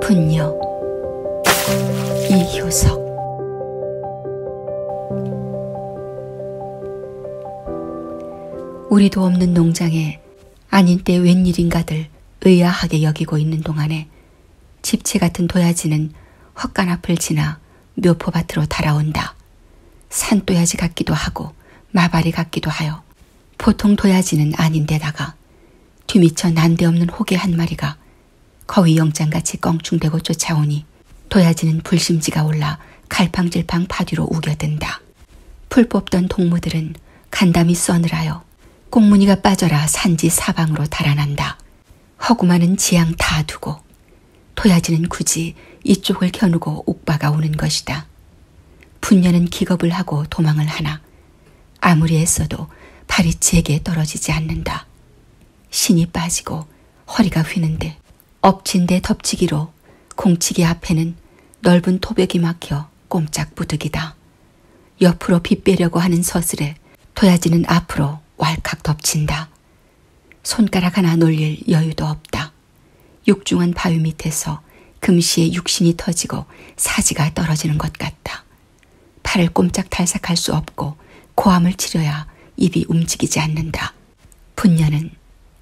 분녀 이효석 우리도 없는 농장에 아닌 때 웬일인가들 의아하게 여기고 있는 동안에 집채 같은 도야지는 헛간 앞을 지나 묘포밭으로 달아온다. 산또야지 같기도 하고 마바리 같기도 하여 보통 도야지는 아닌데다가 뒤미쳐 난데없는 호개 한 마리가 거위 영장같이 껑충대고 쫓아오니 도야지는 불심지가 올라 갈팡질팡 파뒤로 우겨든다. 풀 뽑던 동무들은 간담이 써늘하여 꽁무니가 빠져라 산지 사방으로 달아난다. 허구만은 지양 다 두고 토야지는 굳이 이쪽을 겨누고 옥바가 오는 것이다. 분녀는 기겁을 하고 도망을 하나 아무리 애써도 발이 제게 떨어지지 않는다. 신이 빠지고 허리가 휘는데 엎친 데 덮치기로 공치기 앞에는 넓은 토백이 막혀 꼼짝 부득이다. 옆으로 빗빼려고 하는 서슬에 토야지는 앞으로 왈칵 덮친다. 손가락 하나 놀릴 여유도 없다. 육중한 바위 밑에서 금시에 육신이 터지고 사지가 떨어지는 것 같다. 팔을 꼼짝 탈색할 수 없고 고함을 치려야 입이 움직이지 않는다. 분녀는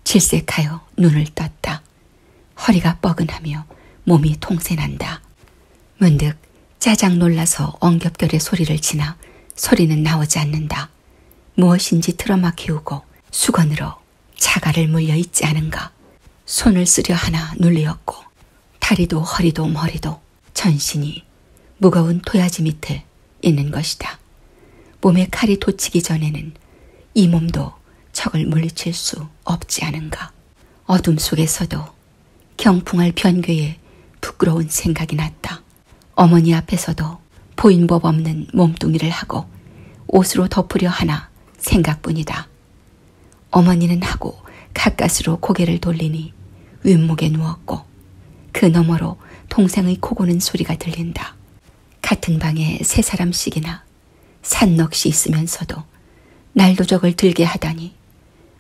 질색하여 눈을 떴다. 허리가 뻐근하며 몸이 통세난다. 문득 짜장 놀라서 엉겹결의 소리를 지나 소리는 나오지 않는다. 무엇인지 틀어막히우고 수건으로 자갈을 물려 있지 않은 가 손을 쓰려 하나 눌리었고 다리도 허리도 머리도 전신이 무거운 토야지 밑에 있는 것이다. 몸에 칼이 돋치기 전에는 이 몸도 적을 물리칠 수 없지 않은가. 어둠 속에서도 경풍할 변괴에 부끄러운 생각이 났다. 어머니 앞에서도 하며 보인법 없는 몸뚱이를 하고 옷으로 덮으려 하나 생각뿐이다. 어머니는 하고 가까스로 고개를 돌리니 윗목에 누웠고 그 너머로 동생의 코고는 소리가 들린다. 같은 방에 세 사람씩이나 산넋이 있으면서도 날도적을 들게 하다니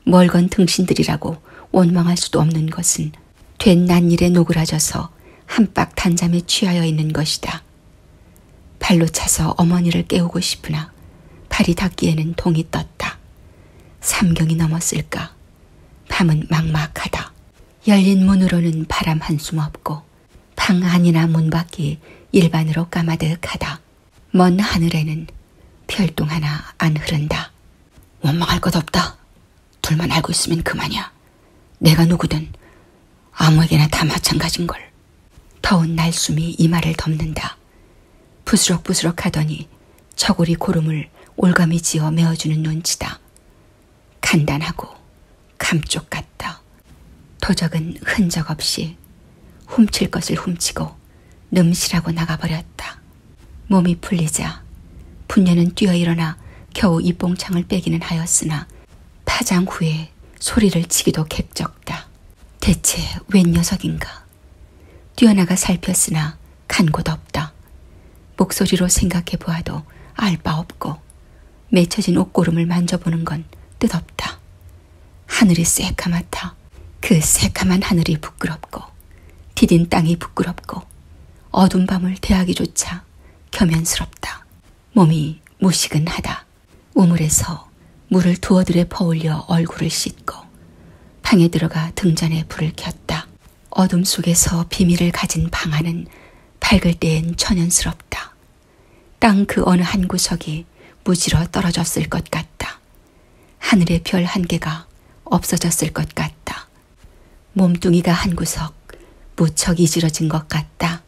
멀건 등신들이라고 원망할 수도 없는 것은 된난 일에 노그라져서 엎드려 한박 단잠에 취하여 있는 것이다. 발로 차서 어머니를 깨우고 싶으나 발이 닿기에는 동이 떴다. 삼경이 넘었을까. 밤은 막막하다. 열린 문으로는 바람 한숨 없고 방 안이나 문 밖이 일반으로 까마득하다. 먼 하늘에는 별똥 하나 안 흐른다. 원망할 것 없다. 둘만 알고 있으면 그만이야. 내가 누구든 아무에게나 다 마찬가지인 걸. 더운 날숨이 이마를 덮는다. 부스럭부스럭 하더니 저고리 고름을 올감이 지어 메어주는 눈치다. 간단하고 감쪽 같다. 도적은 흔적 없이 훔칠 것을 훔치고 넘실하고 나가버렸다. 몸이 풀리자 분녀는 뛰어 일어나 겨우 입봉창을 빼기는 하였으나 파장 후에 소리를 치기도 갭적다. 대체 웬 녀석인가? 뛰어나가 살폈으나 간 곳 없다. 목소리로 생각해 보아도 알 바 없고 맺혀진 옷고름을 만져보는 건 뜻없다. 하늘이 새까맣다. 그 새까만 하늘이 부끄럽고 디딘 땅이 부끄럽고 어둠 밤을 대하기조차 겸연스럽다. 몸이 무시근하다. 우물에서 물을 두어들에 퍼올려 얼굴을 씻고 방에 들어가 등잔에 불을 켰다. 어둠 속에서 비밀을 가진 방 안은 밝을 때엔 천연스럽다. 땅 그 어느 한 구석이 무지러 떨어졌을 것 같다. 하늘의 별 한 개가 없어졌을 것 같다. 몸뚱이가 한 구석 무척 이질어진 것 같다.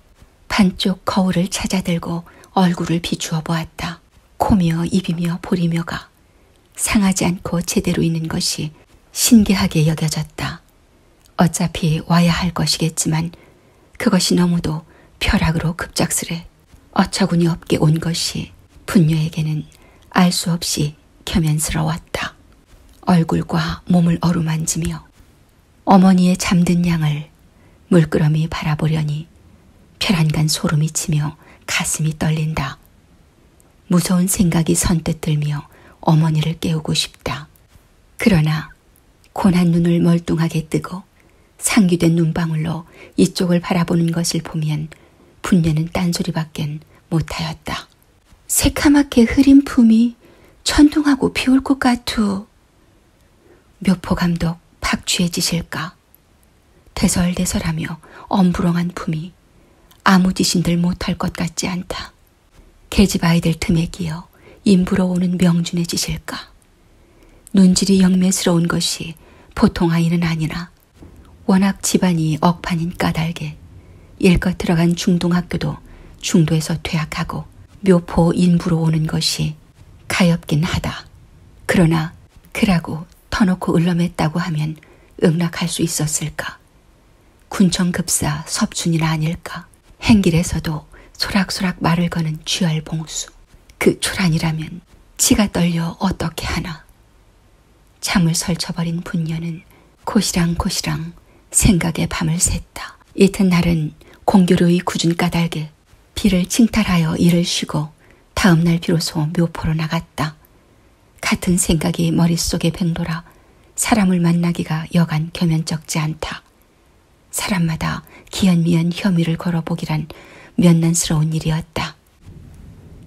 반쪽 거울을 찾아들고 얼굴을 비추어 보았다. 코며 입이며 볼이며가 상하지 않고 제대로 있는 것이 신기하게 여겨졌다. 어차피 와야 할 것이겠지만 그것이 너무도 벼락으로 급작스레 어처구니 없게 온 것이 분녀에게는 알 수 없이 겸연스러웠다. 얼굴과 몸을 어루만지며 어머니의 잠든 양을 물끄러미 바라보려니 쾌란간 소름이 치며 가슴이 떨린다. 무서운 생각이 선뜻 들며 어머니를 깨우고 싶다. 그러나 고난 눈을 멀뚱하게 뜨고 상기된 눈방울로 이쪽을 바라보는 것을 보면 분녀는 딴소리밖엔 못하였다. 새카맣게 흐린 품이 천둥하고 비올 것 같투. 묘포 감독 박쥐의 짓일까? 대설대설하며 엄부렁한 품이 아무 짓인들 못할 것 같지 않다. 계집 아이들 틈에 끼어 임부러 오는 명준의 짓일까? 눈질이 영매스러운 것이 보통 아이는 아니라 워낙 집안이 억판인 까닭에 일껏 들어간 중동학교도 중도에서 퇴학하고 묘포 인부로 오는 것이 가엾긴 하다. 그러나 그라고 터놓고 을럼했다고 하면 응락할 수 있었을까? 군청급사 섭춘이나 아닐까? 행길에서도 소락소락 말을 거는 쥐알봉수. 그 초란이라면 치가 떨려 어떻게 하나. 잠을 설쳐버린 분녀는 고시랑고시랑 생각의 밤을 샜다. 했다. 이튿날은 공교로이 굳은 까닭에 피를 칭탈하여 일을 쉬고 다음날 비로소 묘포로 나갔다. 같은 생각이 머릿속에 뱅돌아 사람을 만나기가 여간 겸연쩍지 않다. 사람마다 기연미연 혐의를 걸어보기란 면난스러운 일이었다.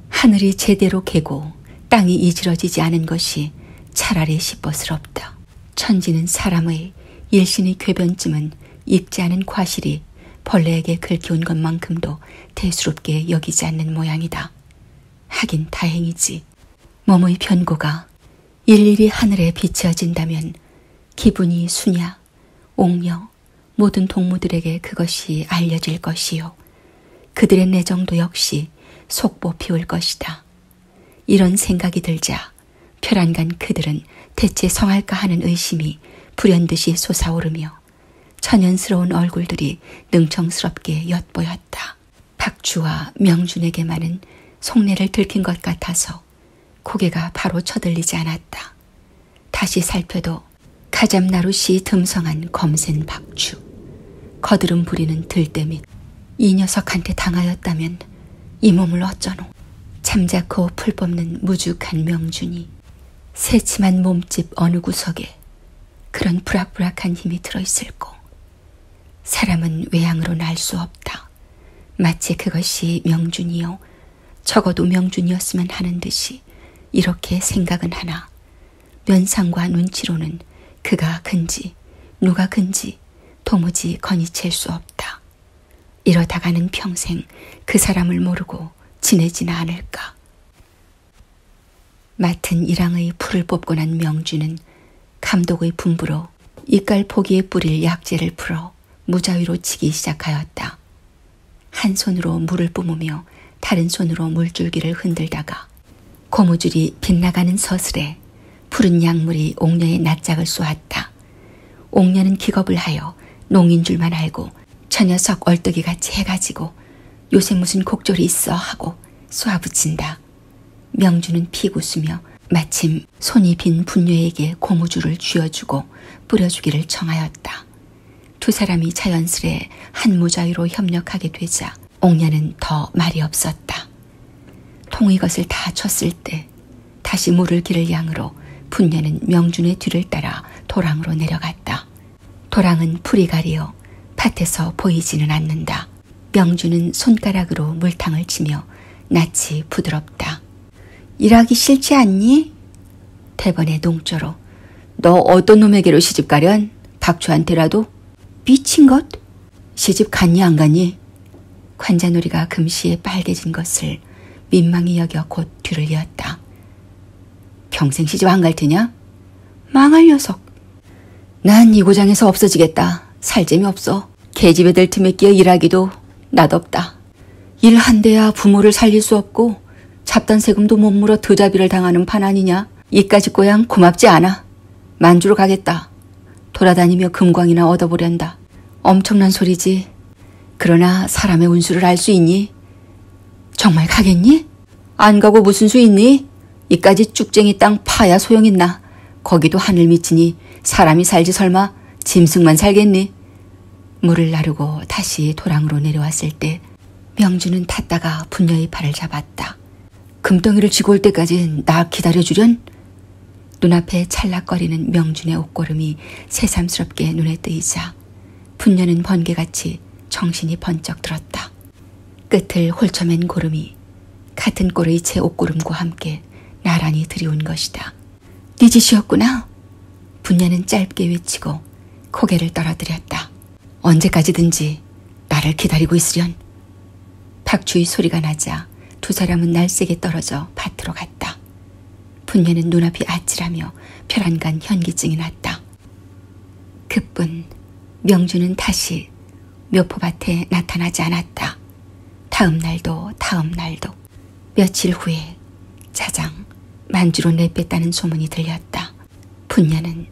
하늘이 제대로 개고 땅이 이지러지지 않은 것이 차라리 시퍼스럽다. 천지는 사람의 일신의 궤변쯤은 익지 않은 과실이 벌레에게 긁혀온 것만큼도 대수롭게 여기지 않는 모양이다. 하긴 다행이지. 몸의 변고가 일일이 하늘에 비치어진다면 기분이 수냐, 옥녀, 모든 동무들에게 그것이 알려질 것이요. 그들의 내정도 역시 속보 피울 것이다. 이런 생각이 들자 벼란간 그들은 대체 성할까 하는 의심이 불현듯이 솟아오르며 천연스러운 얼굴들이 능청스럽게 엿보였다. 박주와 명준에게만은 속내를 들킨 것 같아서 고개가 바로 쳐들리지 않았다. 다시 살펴도 가잠나룻이 듬성한 검센 박주, 거드름 부리는 들대 및이 녀석한테 당하였다면 이 몸을 어쩌노. 잠자코 풀 뽑는 무죽한 명준이 새침한 몸집 어느 구석에 그런 부락부락한 힘이 들어있을꼬. 사람은 외양으로 날 수 없다. 마치 그것이 명준이요. 적어도 명준이었으면 하는 듯이 이렇게 생각은 하나. 면상과 눈치로는 그가 근지, 누가 근지 도무지 건이챌 수 없다. 이러다가는 평생 그 사람을 모르고 지내지나 않을까. 맡은 일항의 풀을 뽑고 난 명주는 감독의 분부로 이깔 포기에 뿌릴 약재를 풀어 무자위로 치기 시작하였다. 한 손으로 물을 뿜으며 다른 손으로 물줄기를 흔들다가 고무줄이 빗나가는 서슬에 푸른 약물이 옥녀의 낯짝을 쏘았다. 옥녀는 기겁을 하여 농인 줄만 알고 저 녀석 얼떡이같이 해가지고 요새 무슨 곡졸이 있어 하고 쏘아붙인다. 명주는 피고수며 마침 손이 빈 분녀에게 고무줄을 쥐어주고 뿌려주기를 청하였다. 두 사람이 자연스레 한 무자위로 협력하게 되자 옥녀는 더 말이 없었다. 통이것을 다 쳤을 때 다시 모를 길을 양으로 분녀는 명준의 뒤를 따라 도랑으로 내려갔다. 도랑은 풀이 가리어 밭에서 보이지는 않는다. 명준은 손가락으로 물탕을 치며 낯이 부드럽다. 일하기 싫지 않니? 대번의 농조로. 너 어떤 놈에게로 시집가련? 박초한테라도? 미친 것? 시집 갔니 안 갔니? 관자놀이가 금시에 빨개진 것을 민망히 여겨 곧 뒤를 이었다. 평생 시집 안 갈 테냐? 망할 녀석. 난 이 고장에서 없어지겠다. 살 재미 없어. 계집 애들 틈에 끼어 일하기도 낯없다. 일 한대야 부모를 살릴 수 없고 잡단 세금도 못 물어 드자비를 당하는 판 아니냐. 이까지 꼬양 고맙지 않아. 만주로 가겠다. 돌아다니며 금광이나 얻어보련다. 엄청난 소리지. 그러나 사람의 운수를 알 수 있니? 정말 가겠니? 안 가고 무슨 수 있니? 이까지 쭉쟁이 땅 파야 소용있나. 거기도 하늘 미치니 사람이 살지 설마 짐승만 살겠니? 물을 나르고 다시 도랑으로 내려왔을 때 명주는 탔다가 분녀의 팔을 잡았다. 금덩이를 쥐고 올 때까지 나 기다려주련? 눈앞에 찰락거리는 명준의 옷걸음이 새삼스럽게 눈에 뜨이자 분녀는 번개같이 정신이 번쩍 들었다. 끝을 홀쳐맨 고름이 같은 꼴의 제 옷고름과 함께 나란히 들이온 것이다. 네 짓이었구나. 분녀는 짧게 외치고 고개를 떨어뜨렸다. 언제까지든지 나를 기다리고 있으련. 박주의 소리가 나자 두 사람은 날쌔게 떨어져 밭으로 갔다. 분녀는 눈앞이 아찔하며 벼란간 현기증이 났다. 그뿐 명주는 다시 묘포밭에 나타나지 않았다. 다음 날도 다음 날도 며칠 후에 자장 만주로 내뺐다는 소문이 들렸다. 분녀는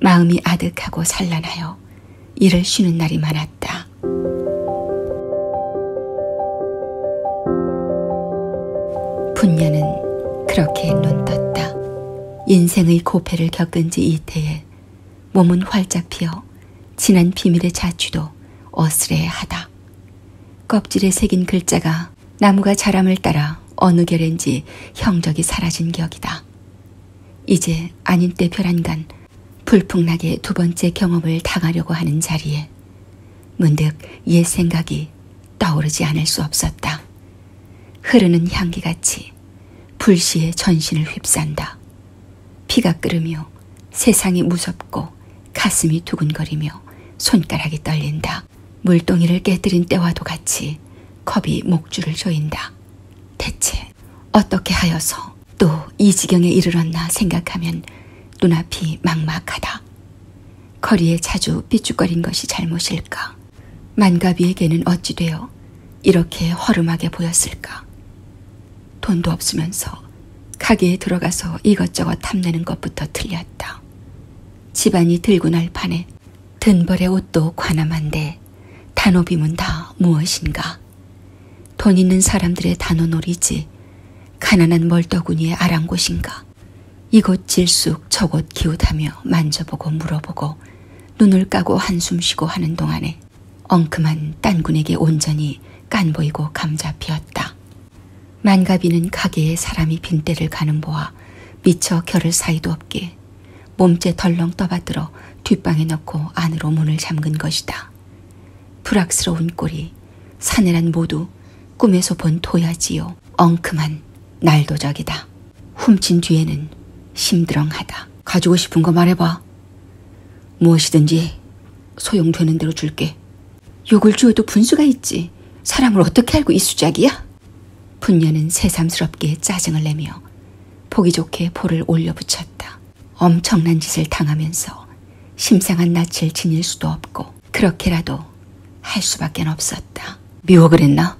마음이 아득하고 산란하여 일을 쉬는 날이 많았다. 않았다. 분녀는 그렇게 눈떴다. 인생의 고패를 겪은 지 이태에 몸은 활짝 피어 진한 비밀의 자취도 어스레하다. 껍질에 새긴 글자가 나무가 자람을 따라 어느 결인지 형적이 사라진 격이다. 이제 아닌 때 별안간 불풍나게 두 번째 경험을 당하려고 하는 자리에 문득 옛 생각이 떠오르지 않을 수 없었다. 흐르는 향기같이 불시에 전신을 휩싼다. 피가 끓으며 세상이 무섭고 가슴이 두근거리며 손가락이 떨린다. 물동이를 깨뜨린 때와도 같이 컵이 목줄을 조인다. 대체 했는데 어떻게 하여서 또 이 지경에 이르렀나 생각하면 눈앞이 막막하다. 거리에 자주 삐죽거린 것이 잘못일까? 만가비에게는 어찌되어 이렇게 허름하게 보였을까? 돈도 없으면서 가게에 들어가서 이것저것 탐내는 것부터 틀렸다. 집안이 들고 날 판에 든벌의 옷도 관함한데 단오비문 다 무엇인가? 돈 있는 사람들의 단오놀이지 가난한 멀더구니의 아랑곳인가 이곳 질쑥 저곳 기웃하며 만져보고 물어보고 눈을 까고 한숨 쉬고 하는 동안에 엉큼한 딴군에게 온전히 깐보이고 감잡히었다. 만가비는 가게에 사람이 빈대를 가는 보아 미처 결을 사이도 없게 몸째 덜렁 떠받들어 뒷방에 넣고 안으로 문을 잠근 것이다. 불악스러운 꼴이 사내란 모두 꿈에서 본 도야지요. 엉큼한 날도적이다. 훔친 뒤에는 심드렁하다. 가지고 싶은 거 말해봐. 무엇이든지 소용되는 대로 줄게. 욕을 주어도 분수가 있지. 사람을 어떻게 알고 이 수작이야? 분녀는 새삼스럽게 짜증을 내며 보기 좋게 볼을 올려붙였다. 엄청난 짓을 당하면서 심상한 낯을 지닐 수도 없고 그렇게라도 할 수밖에 없었다. 미워 그랬나?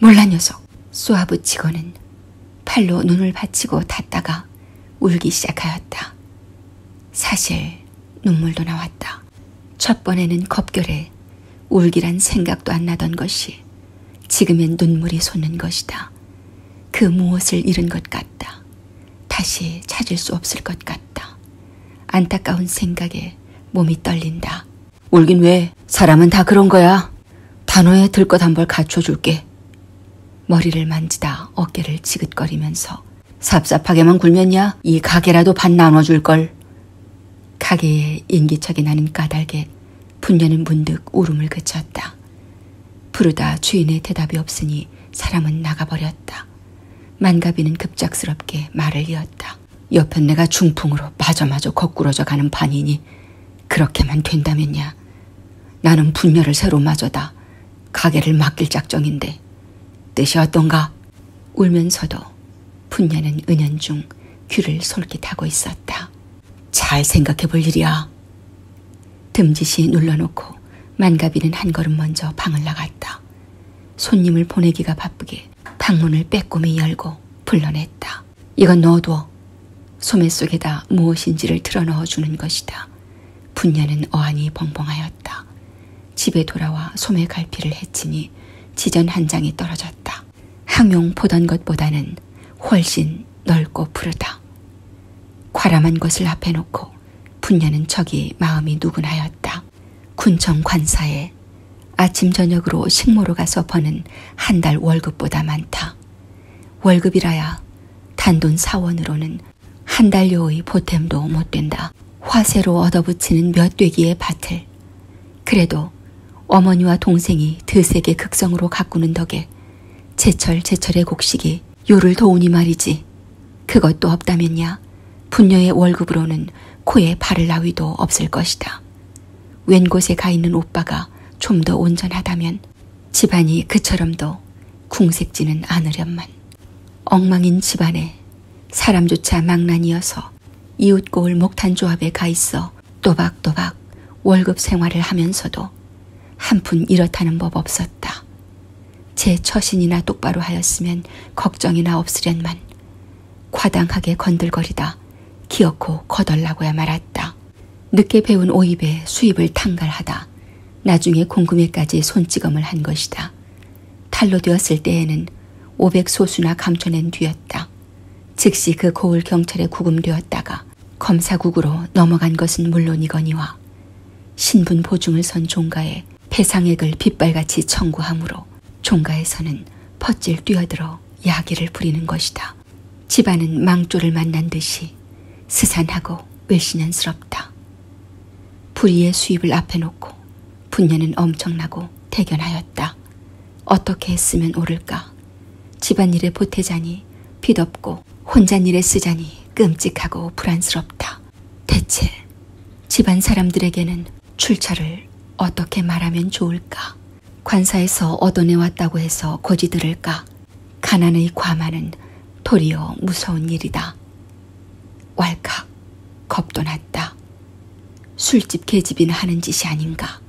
몰라 녀석. 쏘아붙이고는 팔로 눈을 받치고 닫다가 울기 시작하였다. 사실 눈물도 나왔다. 첫 번에는 겁결에 울기란 생각도 안 나던 것이 지금엔 눈물이 솟는 것이다. 그 무엇을 잃은 것 같다. 다시 찾을 수 없을 것 같다. 안타까운 생각에 몸이 떨린다. 울긴 왜? 사람은 다 그런 거야. 단어에 들 것 한 벌 갖춰줄게. 머리를 만지다 어깨를 지긋거리면서 삽삽하게만 굴면야 이 가게라도 반 나눠줄걸. 가게에 인기척이 나는 까닭에 분녀는 문득 울음을 그쳤다. 부르다 주인의 대답이 없으니 사람은 나가버렸다. 만가비는 급작스럽게 말을 이었다. 옆에 내가 중풍으로 마저마저 거꾸러져 가는 반이니 그렇게만 된다면야. 나는 분녀를 새로 마저다. 가게를 맡길 작정인데 뜻이 어떤가? 울면서도 분녀는 은연중 귀를 솔깃하고 있었다. 잘 생각해 볼 일이야. 듬지시 눌러놓고 만가비는 한 걸음 먼저 방을 나갔다. 손님을 보내기가 바쁘게 방문을 빼꼼히 열고 불러냈다. 이건 넣어둬. 소매 속에다 무엇인지를 틀어넣어주는 것이다. 분녀는 어안이 벙벙하였다. 집에 돌아와 소매 갈피를 해치니 지전 한 장이 떨어졌다. 항용 보던 것보다는 훨씬 넓고 푸르다. 과람한 것을 앞에 놓고 분녀는 저기 마음이 누군하였다. 군청 관사에 아침 저녁으로 식모로 가서 버는 한 달 월급보다 많다. 월급이라야 단돈 사원으로는 한 달여의 보탬도 못 된다. 화세로 얻어붙이는 몇 되기의 밭을. 그래도 어머니와 동생이 드세계 극성으로 가꾸는 덕에 제철 제철의 곡식이 요를 도우니 말이지. 그것도 없다면야 분녀의 월급으로는 코에 발을 나위도 없을 것이다. 웬 곳에 가 있는 오빠가 좀 더 온전하다면 집안이 그처럼도 궁색지는 않으련만. 엉망인 집안에 사람조차 망난이어서 이웃고을 목탄조합에 가 있어 또박또박 월급 생활을 하면서도 한푼 이렇다는 법 없었다. 제 처신이나 똑바로 하였으면 걱정이나 없으련만 과당하게 건들거리다 기어코 거덜나고야 말았다. 늦게 배운 오입에 수입을 탕갈하다 나중에 공금에까지 손찌검을 한 것이다. 탈로 되었을 때에는 500소수나 감춰낸 뒤였다. 즉시 그 고을 경찰에 구금되었다가 검사국으로 넘어간 것은 물론이거니와 신분 보증을 선 종가에 배상액을 빗발같이 청구하므로 종가에서는 퍼질 뛰어들어 야기를 부리는 것이다. 집안은 망조를 만난 듯이 스산하고 외신연스럽다. 불의의 수입을 앞에 놓고 분야는 엄청나고 대견하였다. 어떻게 했으면 옳을까? 집안일에 보태자니 빚없고 돈도 혼잣일에 쓰자니 끔찍하고 불안스럽다. 대체 집안 사람들에게는 출처를 어떻게 말하면 좋을까? 관사에서 얻어내왔다고 해서 고지들을까? 가난의 과만은 도리어 무서운 일이다. 왈칵 겁도 났다. 술집 개집이나 하는 짓이 아닌가?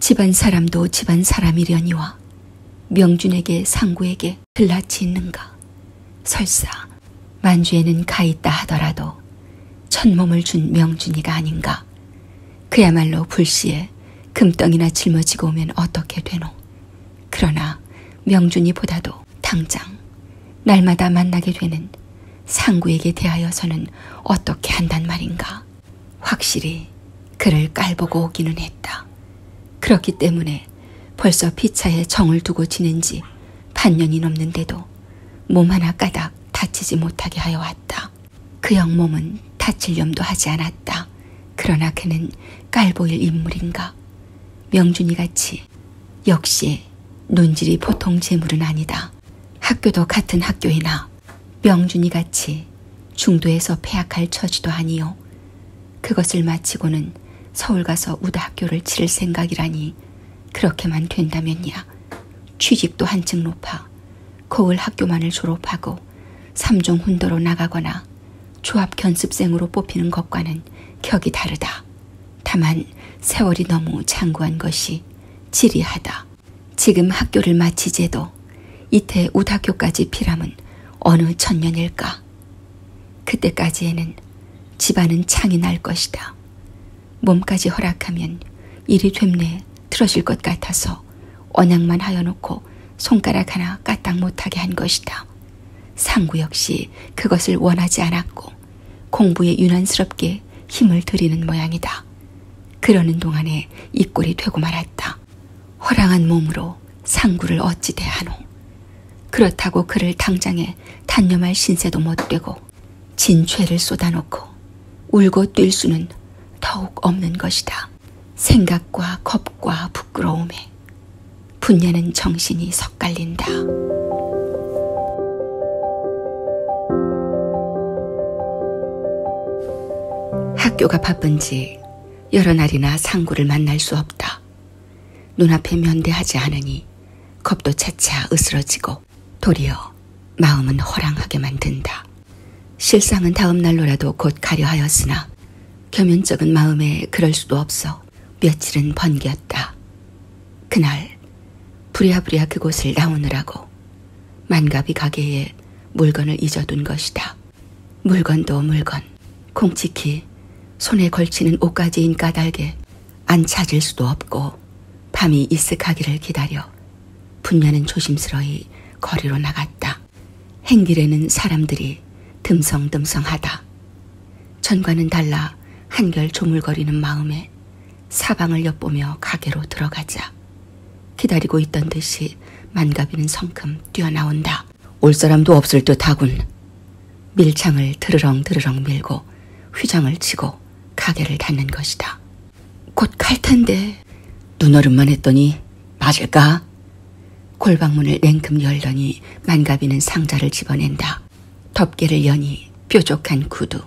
집안 사람도 집안 사람이려니와 명준에게 상구에게 글라치 있는가 설사 만주에는 가있다 하더라도 천몸을 준 명준이가 아닌가 그야말로 불시에 금덩이나 짊어지고 오면 어떻게 되노 그러나 명준이보다도 당장 날마다 만나게 되는 상구에게 대하여서는 어떻게 한단 말인가 확실히 그를 깔보고 오기는 했다. 그렇기 때문에 벌써 피차에 정을 두고 지낸 지 반년이 넘는데도 몸 하나 까닥 다치지 못하게 하여 왔다. 그 영몸은 다칠 염도 하지 않았다. 그러나 그는 깔보일 인물인가. 명준이 같이 역시 논질이 보통 재물은 아니다. 학교도 같은 학교이나 명준이 같이 중도에서 폐악할 처지도 아니요. 그것을 마치고는 서울 가서 우다학교를 치를 생각이라니 그렇게만 된다면야 취직도 한층 높아 거울 학교만을 졸업하고 삼종 훈도로 나가거나 조합 견습생으로 뽑히는 것과는 격이 다르다. 다만 세월이 너무 장구한 것이 지리하다. 지금 학교를 마치제도 걸어 이태 우학교까지 피람은 어느 천년일까? 그때까지에는 집안은 창이 날 것이다. 몸까지 허락하면 일이 됩내 틀어질 것 같아서 언양만 하여놓고 손가락 하나 까딱 못하게 한 것이다. 상구 역시 그것을 원하지 않았고 공부에 유난스럽게 힘을 들이는 모양이다. 그러는 동안에 이 꼴이 되고 말았다. 허랑한 몸으로 상구를 어찌 대하노. 그렇다고 그를 당장에 단념할 신세도 못되고 진죄를 쏟아놓고 울고 뛸 수는 더욱 없는 것이다. 생각과 겁과 부끄러움에 분야는 정신이 섞갈린다. 학교가 바쁜지 여러 날이나 상구를 만날 수 없다. 눈앞에 면대하지 않으니 겁도 차차 으스러지고 도리어 마음은 허랑하게 만든다. 실상은 다음 날로라도 곧 가려 하였으나 겸연쩍은 마음에 그럴 수도 없어 며칠은 번겼다. 그날 부랴부랴 그곳을 나오느라고 만가비 가게에 물건을 잊어둔 것이다. 물건도 물건, 콩치키, 손에 걸치는 옷까지인 까닭에 안 찾을 수도 없고 밤이 이슥하기를 기다려 분녀는 조심스러이 거리로 나갔다. 행길에는 사람들이 듬성듬성하다. 전과는 달라 한결 조물거리는 마음에 사방을 엿보며 가게로 들어가자. 기다리고 있던 듯이 만가비는 성큼 뛰어나온다. 올 사람도 없을 듯 하군. 밀창을 드르렁 드르렁 밀고 휘장을 치고 가게를 닫는 것이다. 곧 갈 텐데. 눈얼음만 했더니 맞을까? 골방문을 냉큼 열더니 만가비는 상자를 집어낸다. 덮개를 여니 뾰족한 구두,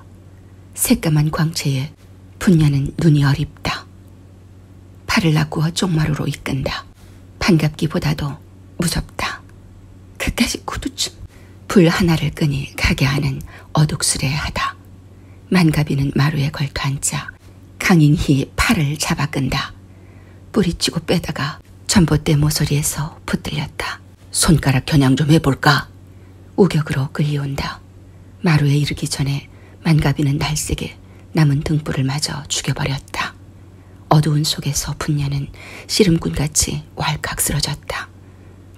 새까만 광채에 분녀는 눈이 어립다. 팔을 아구어 쪽마루로 이끈다. 반갑기보다도 무섭다. 그까지 구두춤. 불 하나를 끄니 가게 안은 어둑스레하다. 만가비는 마루에 걸터 앉자 강인히 팔을 잡아 끈다. 뿌리치고 빼다가 전봇대 모서리에서 붙들렸다. 손가락 겨냥 좀 해볼까? 우격으로 끌려온다. 마루에 이르기 전에 만가비는 날색에 남은 등불을 마저 죽여버렸다. 어두운 속에서 분녀는 씨름꾼같이 왈칵 쓰러졌다.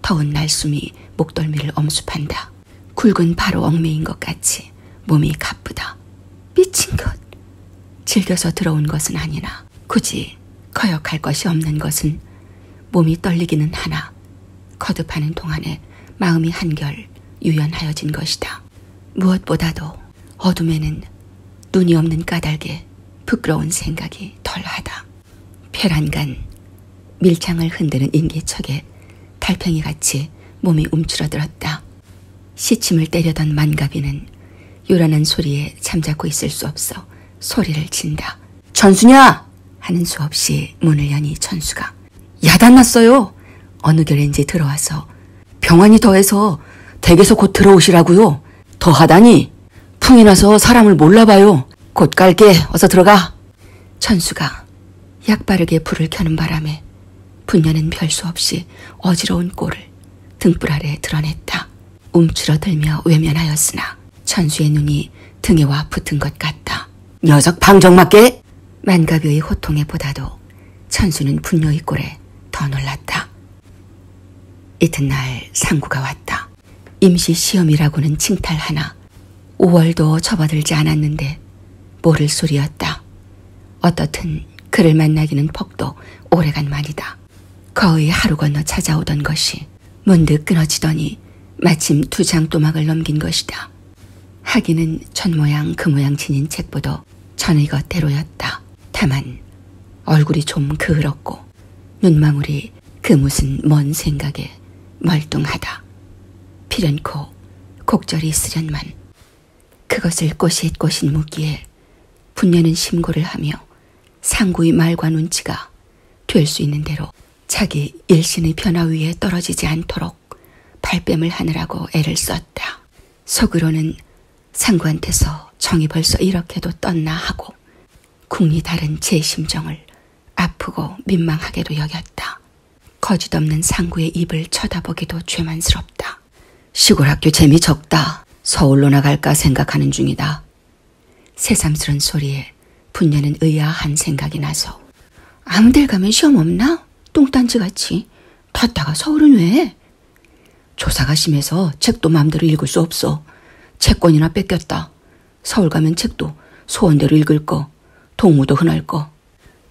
더운 날숨이 목덜미를 엄습한다. 굵은 바로 엉매인 것 같이 몸이 가쁘다. 미친 것. 즐겨서 들어온 것은 아니나 굳이 거역할 것이 없는 것은 몸이 떨리기는 하나 거듭하는 동안에 마음이 한결 유연하여진 것이다. 무엇보다도 어둠에는 눈이 없는 까닭에 부끄러운 생각이 덜하다. 페란간 밀창을 흔드는 인기척에 달팽이같이 몸이 움츠러들었다. 시침을 때려던 만가비는 요란한 소리에 잠자코 있을 수 없어 소리를 친다. 천수냐! 하는 수 없이 문을 여니 천수가 야단났어요. 어느 결인지 들어와서 병환이 더해서 댁에서 곧 들어오시라고요. 더하다니 풍이 나서 사람을 몰라봐요. 곧 갈게. 어서 들어가. 천수가 약바르게 불을 켜는 바람에 분녀는 별수 없이 어지러운 꼴을 등불 아래 드러냈다. 움츠러들며 외면하였으나 천수의 눈이 등에와 붙은 것 같다. 녀석 방정맞게 만갑의 호통에 보다도 천수는 분녀의 꼴에 더 놀랐다. 이튿날 상구가 왔다. 임시 시험이라고는 칭탈하나 5월도 접어들지 않았는데 모를 소리였다. 어떻든 그를 만나기는 퍽도 오래간만이다. 거의 하루 건너 찾아오던 것이 문득 끊어지더니 마침 두 장또막을 넘긴 것이다. 하기는 천모양 그모양 지닌 책보도 전의 것대로였다. 다만 얼굴이 좀 그을었고 눈망울이 그 무슨 먼 생각에 멀뚱하다. 피련코 곡절이 있으련만 그것을 꼬시꼬신 무기에 분내는 심고를 하며 상구의 말과 눈치가 될 수 있는 대로 자기 일신의 변화 위에 떨어지지 않도록 않도록 발뺌을 하느라고 애를 썼다. 속으로는 상구한테서 정이 벌써 이렇게도 떴나 하고 궁리 다른 제 심정을 아프고 민망하게도 여겼다. 거짓없는 상구의 입을 쳐다보기도 죄만스럽다. 시골학교 재미 적다. 서울로 나갈까 생각하는 중이다. 새삼스런 소리에 분녀는 의아한 생각이 나서 아무 데 가면 시험 없나? 똥딴지같이. 탔다가 서울은 왜? 조사가 심해서 책도 마음대로 읽을 수 없어. 채권이나 뺏겼다. 서울 가면 책도 소원대로 읽을 거. 동무도 흔할 거.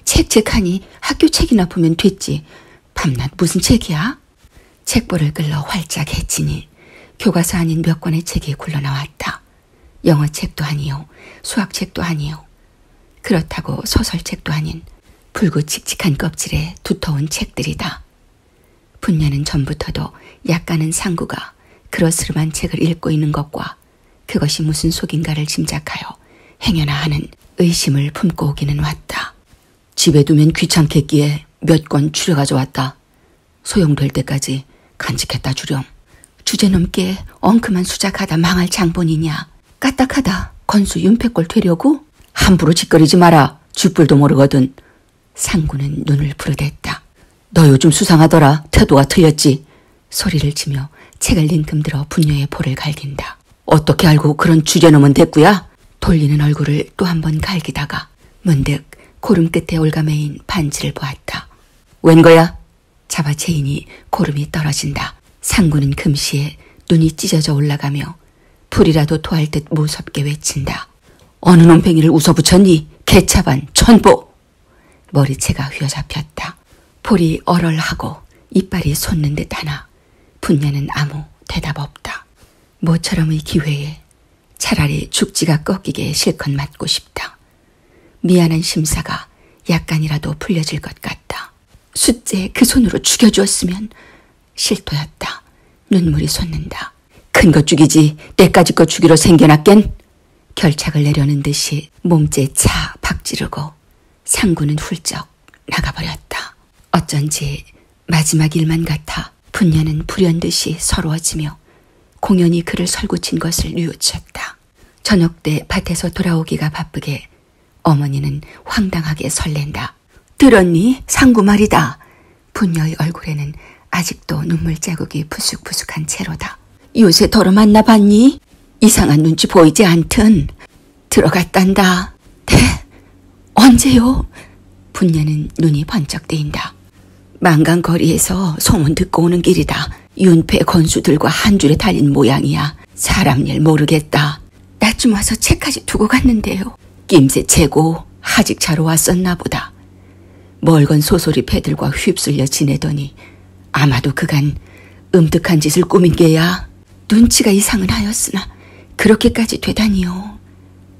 책책하니 학교 책이나 보면 됐지. 밤낮 무슨 책이야? 책보를 끌러 활짝 해치니 교과서 아닌 몇 권의 책이 굴러나왔다. 영어책도 아니요. 수학책도 아니요. 그렇다고 소설책도 아닌 붉고 칙칙한 껍질에 두터운 책들이다. 분녀는 전부터도 약간은 상구가 그러스름한 책을 읽고 있는 것과 그것이 무슨 속인가를 짐작하여 행여나 하는 의심을 품고 오기는 왔다. 집에 두면 귀찮겠기에 몇 권 추려 가져왔다. 소용될 때까지 간직했다 주렴. 주제넘게 엉큼한 수작하다 망할 장본이냐. 까딱하다. 건수 윤패꼴 되려고? 함부로 짓거리지 마라. 쥐뿔도 모르거든. 상구는 눈을 부르댔다. 너 요즘 수상하더라. 태도가 틀렸지. 소리를 치며 책을 링금들어 분녀의 볼을 갈긴다. 어떻게 알고 그런 주제놈은 됐구야? 돌리는 얼굴을 또 한 번 갈기다가 문득 고름 끝에 올가매인 반지를 보았다. 웬 거야? 잡아채이니 고름이 떨어진다. 상구는 금시에 눈이 찢어져 올라가며 불이라도 토할 듯 무섭게 외친다. 어느 놈팽이를 웃어붙였니? 개차반 천보! 머리채가 휘어잡혔다. 볼이 얼얼하고 이빨이 솟는 듯 하나 분야는 아무 대답 없다. 모처럼의 기회에 차라리 죽지가 꺾이게 실컷 맞고 싶다. 미안한 심사가 약간이라도 풀려질 것 같다. 숫째 그 손으로 죽여주었으면 실토였다. 눈물이 솟는다. 큰거 죽이지 때까지 거 죽이러 생겨났겐? 결착을 내려는 듯이 몸째 차 박지르고 상구는 훌쩍 나가버렸다. 어쩐지 마지막 일만 같아 분야는 불현듯이 서러워지며 공연히 그를 설구친 것을 뉘우쳤다. 저녁 때 밭에서 돌아오기가 바쁘게 어머니는 황당하게 설렌다. 들었니? 상구 말이다. 분녀의 얼굴에는 아직도 눈물 자국이 푸쑥푸쑥한 채로다. 요새 더러 만나 봤니? 이상한 눈치 보이지 않든 들어갔단다. 네? 언제요? 분녀는 눈이 번쩍 뜨인다. 망강거리에서 소문 듣고 오는 길이다. 윤패 건수들과 한 줄에 달린 모양이야. 사람 일 모르겠다. 나쯤 와서 책까지 두고 갔는데요. 낌새 채고 하직차로 왔었나 보다. 멀건 소소리 패들과 휩쓸려 지내더니 아마도 그간 음득한 짓을 꾸민 게야. 눈치가 이상은 하였으나 그렇게까지 되다니요.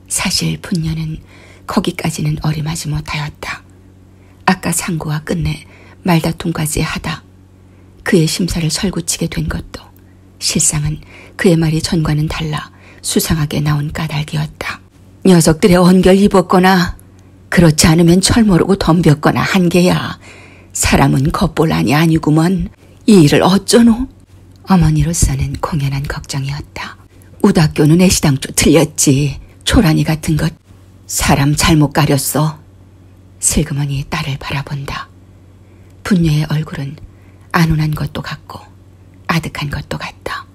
사실 분녀는 거기까지는 어림하지 못하였다. 아까 상고와 끝내 말다툼까지 하다 그의 심사를 설구치게 된 것도 실상은 그의 말이 전과는 달라 수상하게 나온 까닭이었다. 녀석들의 언결 입었거나 그렇지 않으면 철모르고 덤볐거나 한 게야. 사람은 겉볼란이 아니구먼. 이 일을 어쩌노? 어머니로서는 공연한 걱정이었다. 우다교는 애시당초 틀렸지. 초라니 같은 것. 사람 잘못 가렸어. 슬그머니 딸을 바라본다. 분녀의 얼굴은 안온한 것도 같고 아득한 것도 같다.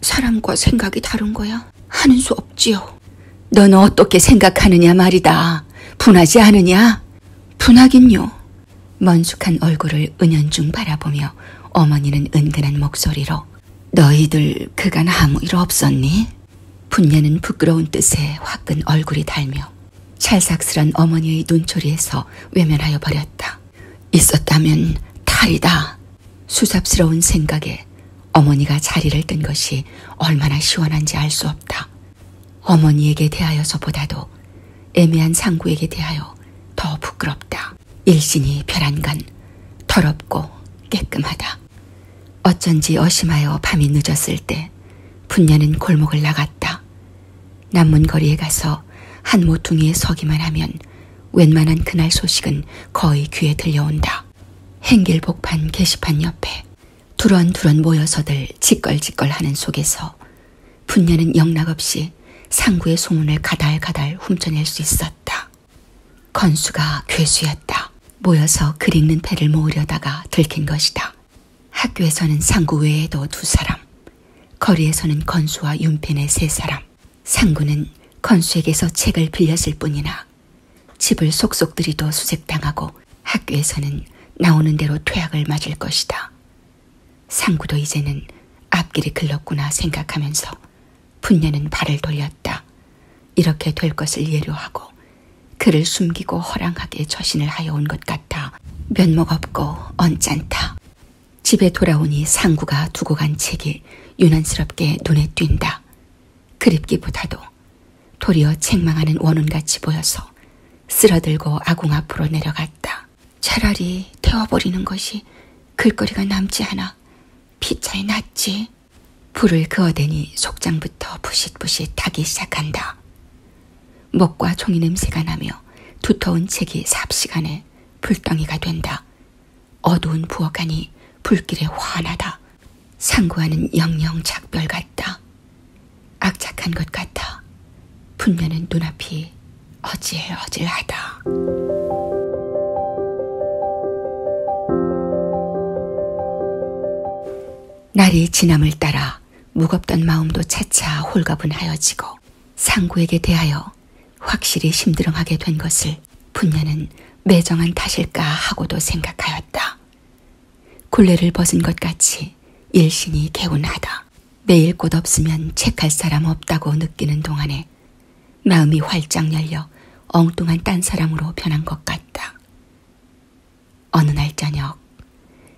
사람과 생각이 다른 거야? 하는 수 없지요. 넌 어떻게 생각하느냐 말이다. 분하지 않으냐? 분하긴요. 먼숙한 얼굴을 은연중 바라보며 어머니는 은근한 목소리로 너희들 그간 아무 일 없었니? 분녀는 부끄러운 뜻에 화끈 얼굴이 달며 찰싹스런 어머니의 눈초리에서 외면하여 버렸다. 있었다면 탈이다. 수sap스러운 생각에 어머니가 자리를 뜬 것이 얼마나 시원한지 알 수 없다. 어머니에게 대하여서보다도 애매한 상구에게 대하여 더 부끄럽다. 일신이 벼란간 더럽고 깨끔하다. 어쩐지 어심하여 밤이 늦었을 때 분녀는 골목을 나갔다. 남문거리에 가서 한 모퉁이에 서기만 하면 웬만한 그날 소식은 거의 귀에 들려온다. 행길복판 게시판 옆에 두런두런 모여서들 짓걸짓걸 하는 속에서 분녀는 영락없이 상구의 소문을 가달가달 훔쳐낼 수 있었다. 건수가 괴수였다. 모여서 글 읽는 패를 모으려다가 들킨 것이다. 학교에서는 상구 외에도 두 사람, 거리에서는 건수와 윤펜의 세 사람, 상구는 건수에게서 책을 빌렸을 뿐이나 집을 속속들이도 수색당하고 학교에서는 나오는 대로 퇴학을 맞을 것이다. 상구도 이제는 앞길이 글렀구나 생각하면서 분녀는 발을 돌렸다. 이렇게 될 것을 예료하고 그를 숨기고 허랑하게 처신을 하여 온 것 같아 면목 없고 언짢다. 집에 돌아오니 상구가 두고 간 책이 유난스럽게 눈에 띈다. 그립기보다도 도리어 책망하는 원운같이 보여서 쓰러들고 아궁 앞으로 내려갔다. 차라리 태워버리는 것이 글거리가 남지 않아 피차에 낫지. 불을 그어대니 속장부터 부싯부싯 타기 시작한다. 먹과 종이 냄새가 나며 두터운 책이 삽시간에 불덩이가 된다. 어두운 부엌 안이 불길에 환하다. 상고하는 영영 작별 같다. 악착한 것 같아. 분면은 눈앞이 어질어질하다. 날이 지남을 따라 무겁던 마음도 차차 홀가분하여지고 상구에게 대하여 확실히 심드렁하게 된 것을 분녀는 매정한 탓일까 하고도 생각하였다. 굴레를 벗은 것 같이 일신이 개운하다. 매일 꽃 없으면 책할 사람 없다고 느끼는 동안에 마음이 활짝 열려 엉뚱한 딴 사람으로 변한 것 같다. 어느 날 저녁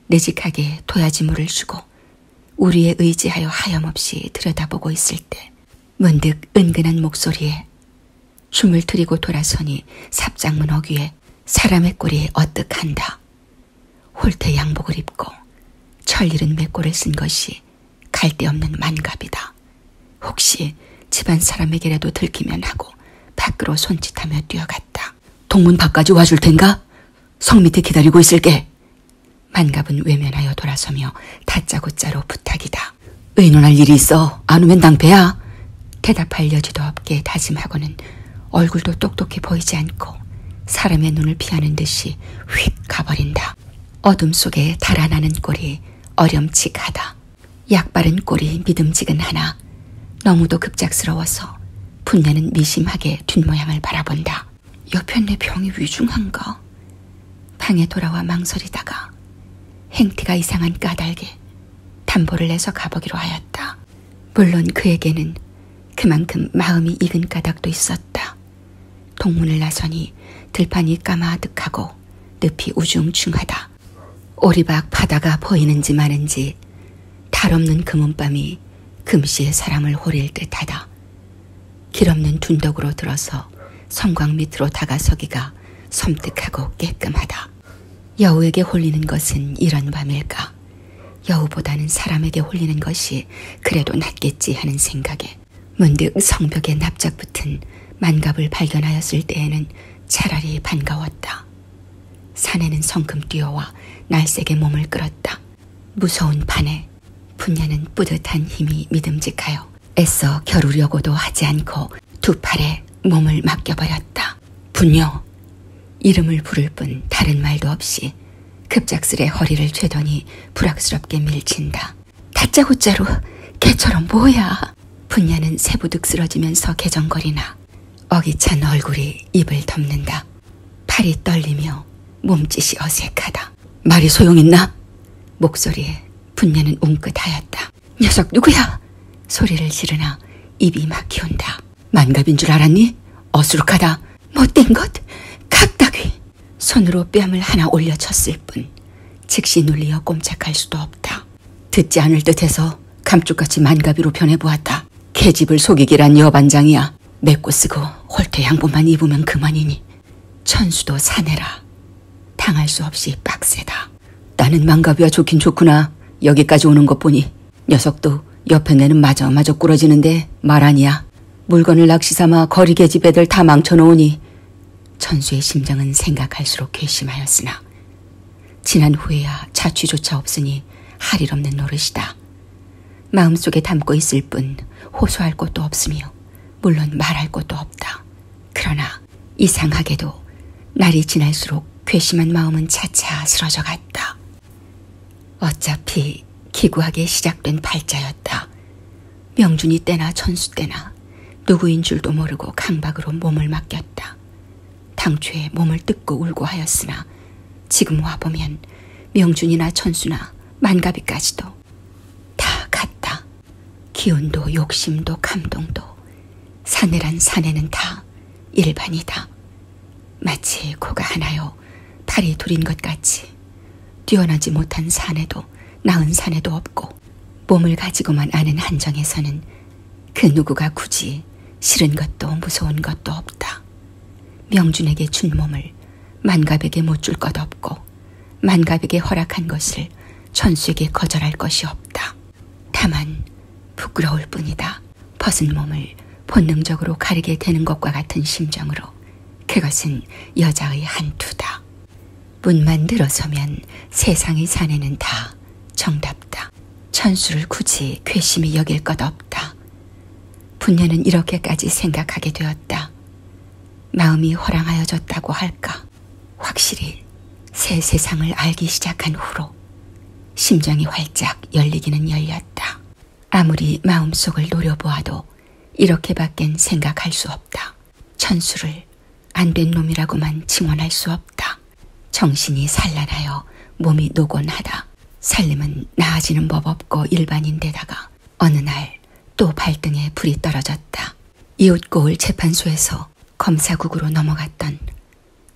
내직하게 도야지물을 주고 우리의 의지하여 하염없이 들여다보고 있을 때 문득 은근한 목소리에 춤을 트리고 돌아서니 삽장문 어귀에 사람의 꼴이 어뜩한다. 홀태 양복을 입고 철 잃은 맥골을 쓴 것이 갈데없는 만갑이다. 혹시 집안 사람에게라도 들키면 하고 밖으로 손짓하며 뛰어갔다. 동문 밖까지 와줄 텐가? 성 밑에 기다리고 있을게. 만갑은 외면하여 돌아서며 다짜고짜로 부탁이다. 의논할 일이 있어. 안 오면 낭패야. 대답할 여지도 없게 다짐하고는 얼굴도 똑똑히 보이지 않고 사람의 눈을 피하는 듯이 휙 가버린다. 어둠 속에 달아나는 꼴이 어렴칙하다. 약바른 꼴이 믿음직은 하나 너무도 급작스러워서 분녀는 미심하게 뒷모양을 바라본다. 여편네 병이 위중한가? 방에 돌아와 망설이다가 행태가 이상한 까닭에 담보를 내서 가보기로 하였다. 물론 그에게는 그만큼 마음이 익은 까닭도 있었다. 동문을 나서니 들판이 까마득하고 늪이 우중충하다. 오리박 바다가 보이는지 마는지 탈없는 금은밤이 금시에 사람을 호릴 듯하다. 길없는 둔덕으로 들어서 성곽 밑으로 다가서기가 섬뜩하고 깨끔하다. 여우에게 홀리는 것은 이런 밤일까? 여우보다는 사람에게 홀리는 것이 그래도 낫겠지 하는 생각에 문득 성벽에 납작 붙은 만갑을 발견하였을 때에는 차라리 반가웠다. 사내는 성큼 뛰어와 날색의 몸을 끌었다. 무서운 판에 분야는 뿌듯한 힘이 믿음직하여 애써 겨루려고도 하지 않고 두 팔에 몸을 맡겨버렸다. 분녀! 이름을 부를 뿐 다른 말도 없이 급작스레 허리를 죄더니 불악스럽게 밀친다. 다짜고짜로 개처럼 뭐야. 분야는 세부득 쓰러지면서 개정거리나 어기찬 얼굴이 입을 덮는다. 팔이 떨리며 몸짓이 어색하다. 말이 소용있나? 목소리에 분녀는 웅긋하였다. 녀석 누구야? 소리를 지르나 입이 막히온다. 만갑인 줄 알았니? 어수룩하다. 못된 것? 각다귀. 손으로 뺨을 하나 올려쳤을 뿐 즉시 눌리어 꼼짝할 수도 없다. 듣지 않을 듯해서 감쪽같이 만가비로 변해보았다. 계집을 속이기란 여반장이야. 맵고 쓰고 홀퇴 양보만 입으면 그만이니 천수도 사내라. 당할 수 없이 빡세다. 나는 망가비와 좋긴 좋구나. 여기까지 오는 것 보니 녀석도 옆에 내는 마저마저 꾸러지는데 말 아니야. 물건을 낚시삼아 거리 계집 애들 다 망쳐놓으니 천수의 심장은 생각할수록 괘씸하였으나 지난 후에야 자취조차 없으니 할 일 없는 노릇이다. 마음속에 담고 있을 뿐 호소할 것도 없으며 물론 말할 것도 없다. 그러나 이상하게도 날이 지날수록 괘씸한 마음은 차차 쓰러져 갔다. 어차피 기구하게 시작된 발자였다. 명준이 때나 천수 때나 누구인 줄도 모르고 강박으로 몸을 맡겼다. 당초에 몸을 뜯고 울고 하였으나 지금 와보면 명준이나 천수나 만가비까지도 다 같다. 기운도 욕심도 감동도 사내란 사내는 다 일반이다. 마치 코가 하나요 팔이 둘인 것 같이 뛰어나지 못한 사내도 나은 사내도 없고 몸을 가지고만 아는 한정에서는 그 누구가 굳이 싫은 것도 무서운 것도 없다. 명준에게 준 몸을 만갑에게 못 줄것 없고 만갑에게 허락한 것을 천수에게 거절할 것이 없다. 다만 부끄러울 뿐이다. 벗은 몸을 본능적으로 가리게 되는 것과 같은 심정으로 그것은 여자의 한투다. 문만 들어서면 세상의 사내는 다 정답다. 없다. 천수를 굳이 괘씸히 여길 것 없다. 분녀는 이렇게까지 생각하게 되었다. 마음이 허랑하여졌다고 할까. 확실히 새 세상을 알기 시작한 후로 심장이 활짝 열리기는 열렸다. 아무리 마음속을 노려보아도 이렇게밖엔 생각할 수 없다. 천수를 안된 놈이라고만 칭원할 수 없다. 정신이 산란하여 몸이 노곤하다. 살림은 나아지는 법 없고 일반인데다가 어느 날 또 발등에 불이 떨어졌다. 이웃고을 재판소에서 검사국으로 넘어갔던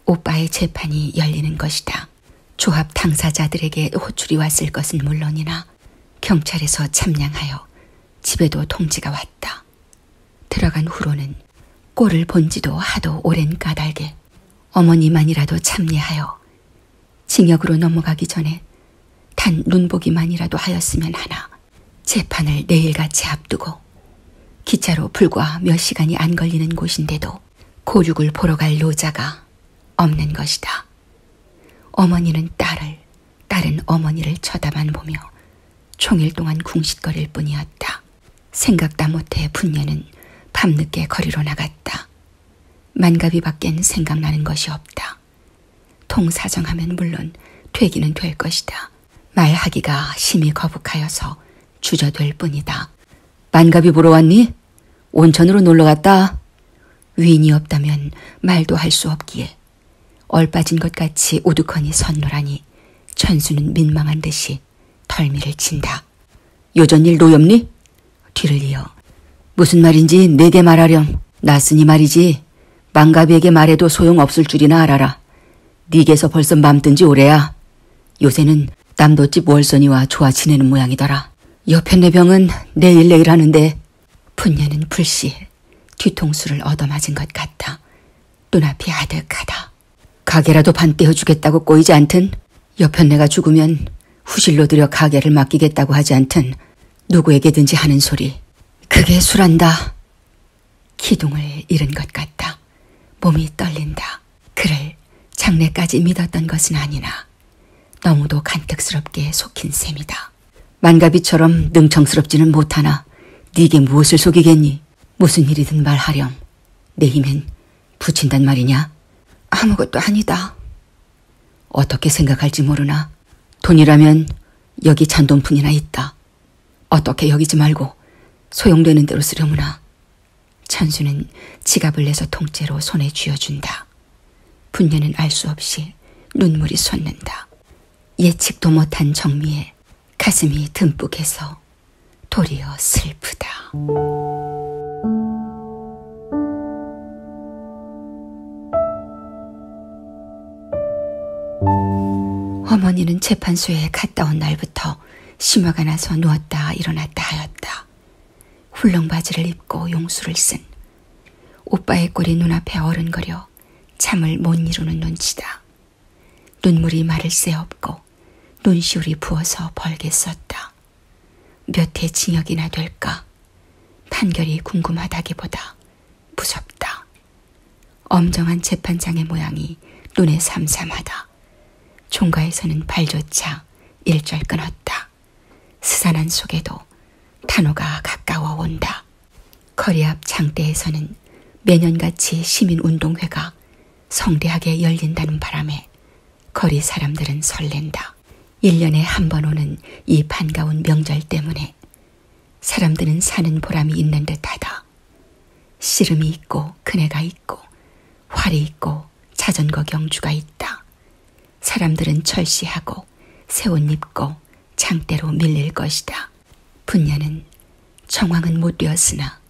오빠의 재판이 열리는 것이다. 조합 당사자들에게 호출이 왔을 것은 물론이나 경찰에서 참량하여 집에도 통지가 왔다. 들어갔다. 들어간 후로는 꼴을 본지도 하도 오랜 까닭에 어머니만이라도 참례하여 징역으로 넘어가기 전에 단 눈보기만이라도 하였으면 하나 재판을 내일같이 앞두고 기차로 불과 몇 시간이 안 걸리는 곳인데도 고육을 보러 갈 노자가 없는 것이다. 어머니는 딸을, 딸은 어머니를 쳐다만 보며 종일 동안 궁시거릴 뿐이었다. 생각다 못해 분녀는 밤늦게 거리로 나갔다. 만가비 밖엔 생각나는 것이 없다. 통사정하면 물론 되기는 될 것이다. 말하기가 심히 거북하여서 주저될 뿐이다. 만가비 보러 왔니? 온천으로 놀러 갔다. 위인이 없다면 말도 할 수 없기에 얼빠진 것 같이 우두커니 선노라니 천수는 민망한 듯이 듯이 털미를 친다. 요전일 노엽니? 뒤를 이어 무슨 말인지 내게 말하렴. 나으니 말이지 망가비에게 말해도 소용없을 줄이나 알아라. 니게서 벌써 맘뜬지 오래야. 요새는 남도집 월선이와 좋아 지내는 모양이더라. 옆에 내 병은 내일 내일 하는데 분녀는 불시에 뒤통수를 얻어맞은 것 같다. 눈앞이 아득하다. 가게라도 반떼어 주겠다고 꼬이지 않든 옆편 내가 죽으면 후실로 들여 가게를 맡기겠다고 하지 않든 누구에게든지 하는 소리. 그게 술한다. 기둥을 잃은 것 같다. 몸이 떨린다. 그를 장래까지 믿었던 것은 아니나 너무도 간택스럽게 속힌 셈이다. 만가비처럼 능청스럽지는 못하나 네게 무엇을 속이겠니? 보니 무슨 일이든 말하렴. 내 힘엔 붙인단 말이냐? 아무것도 아니다. 어떻게 생각할지 모르나 돈이라면 여기 잔돈뿐이나 있다. 어떻게 여기지 말고 소용되는 대로 쓰려무나. 천수는 지갑을 내서 통째로 손에 쥐어준다. 분녀는 알 수 없이 눈물이 솟는다. 예측도 못한 정미에 가슴이 듬뿍해서 도리어 슬프다. 어머니는 재판소에 갔다 온 날부터 심화가 나서 누웠다 일어났다 하였다. 훌렁 바지를 입고 용수를 쓴 오빠의 꼴이 눈앞에 어른거려 잠을 못 이루는 눈치다. 눈물이 마를 새 없고 눈시울이 부어서 벌겠었다. 몇 해 징역이나 될까? 판결이 궁금하다기보다 무섭다. 엄정한 재판장의 모양이 눈에 삼삼하다. 총가에서는 발조차 일절 끊었다. 스산한 속에도 탄호가 가까워 온다. 거리 앞 장대에서는 매년같이 시민운동회가 성대하게 열린다는 바람에 거리 사람들은 설렌다. 1년에 한 번 오는 이 반가운 명절 때문에 사람들은 사는 보람이 있는 듯하다. 씨름이 있고 그네가 있고 활이 있고 자전거 경주가 있다. 사람들은 철시하고 새 옷 입고 장대로 밀릴 것이다. 분녀는 청왕은 못 되었으나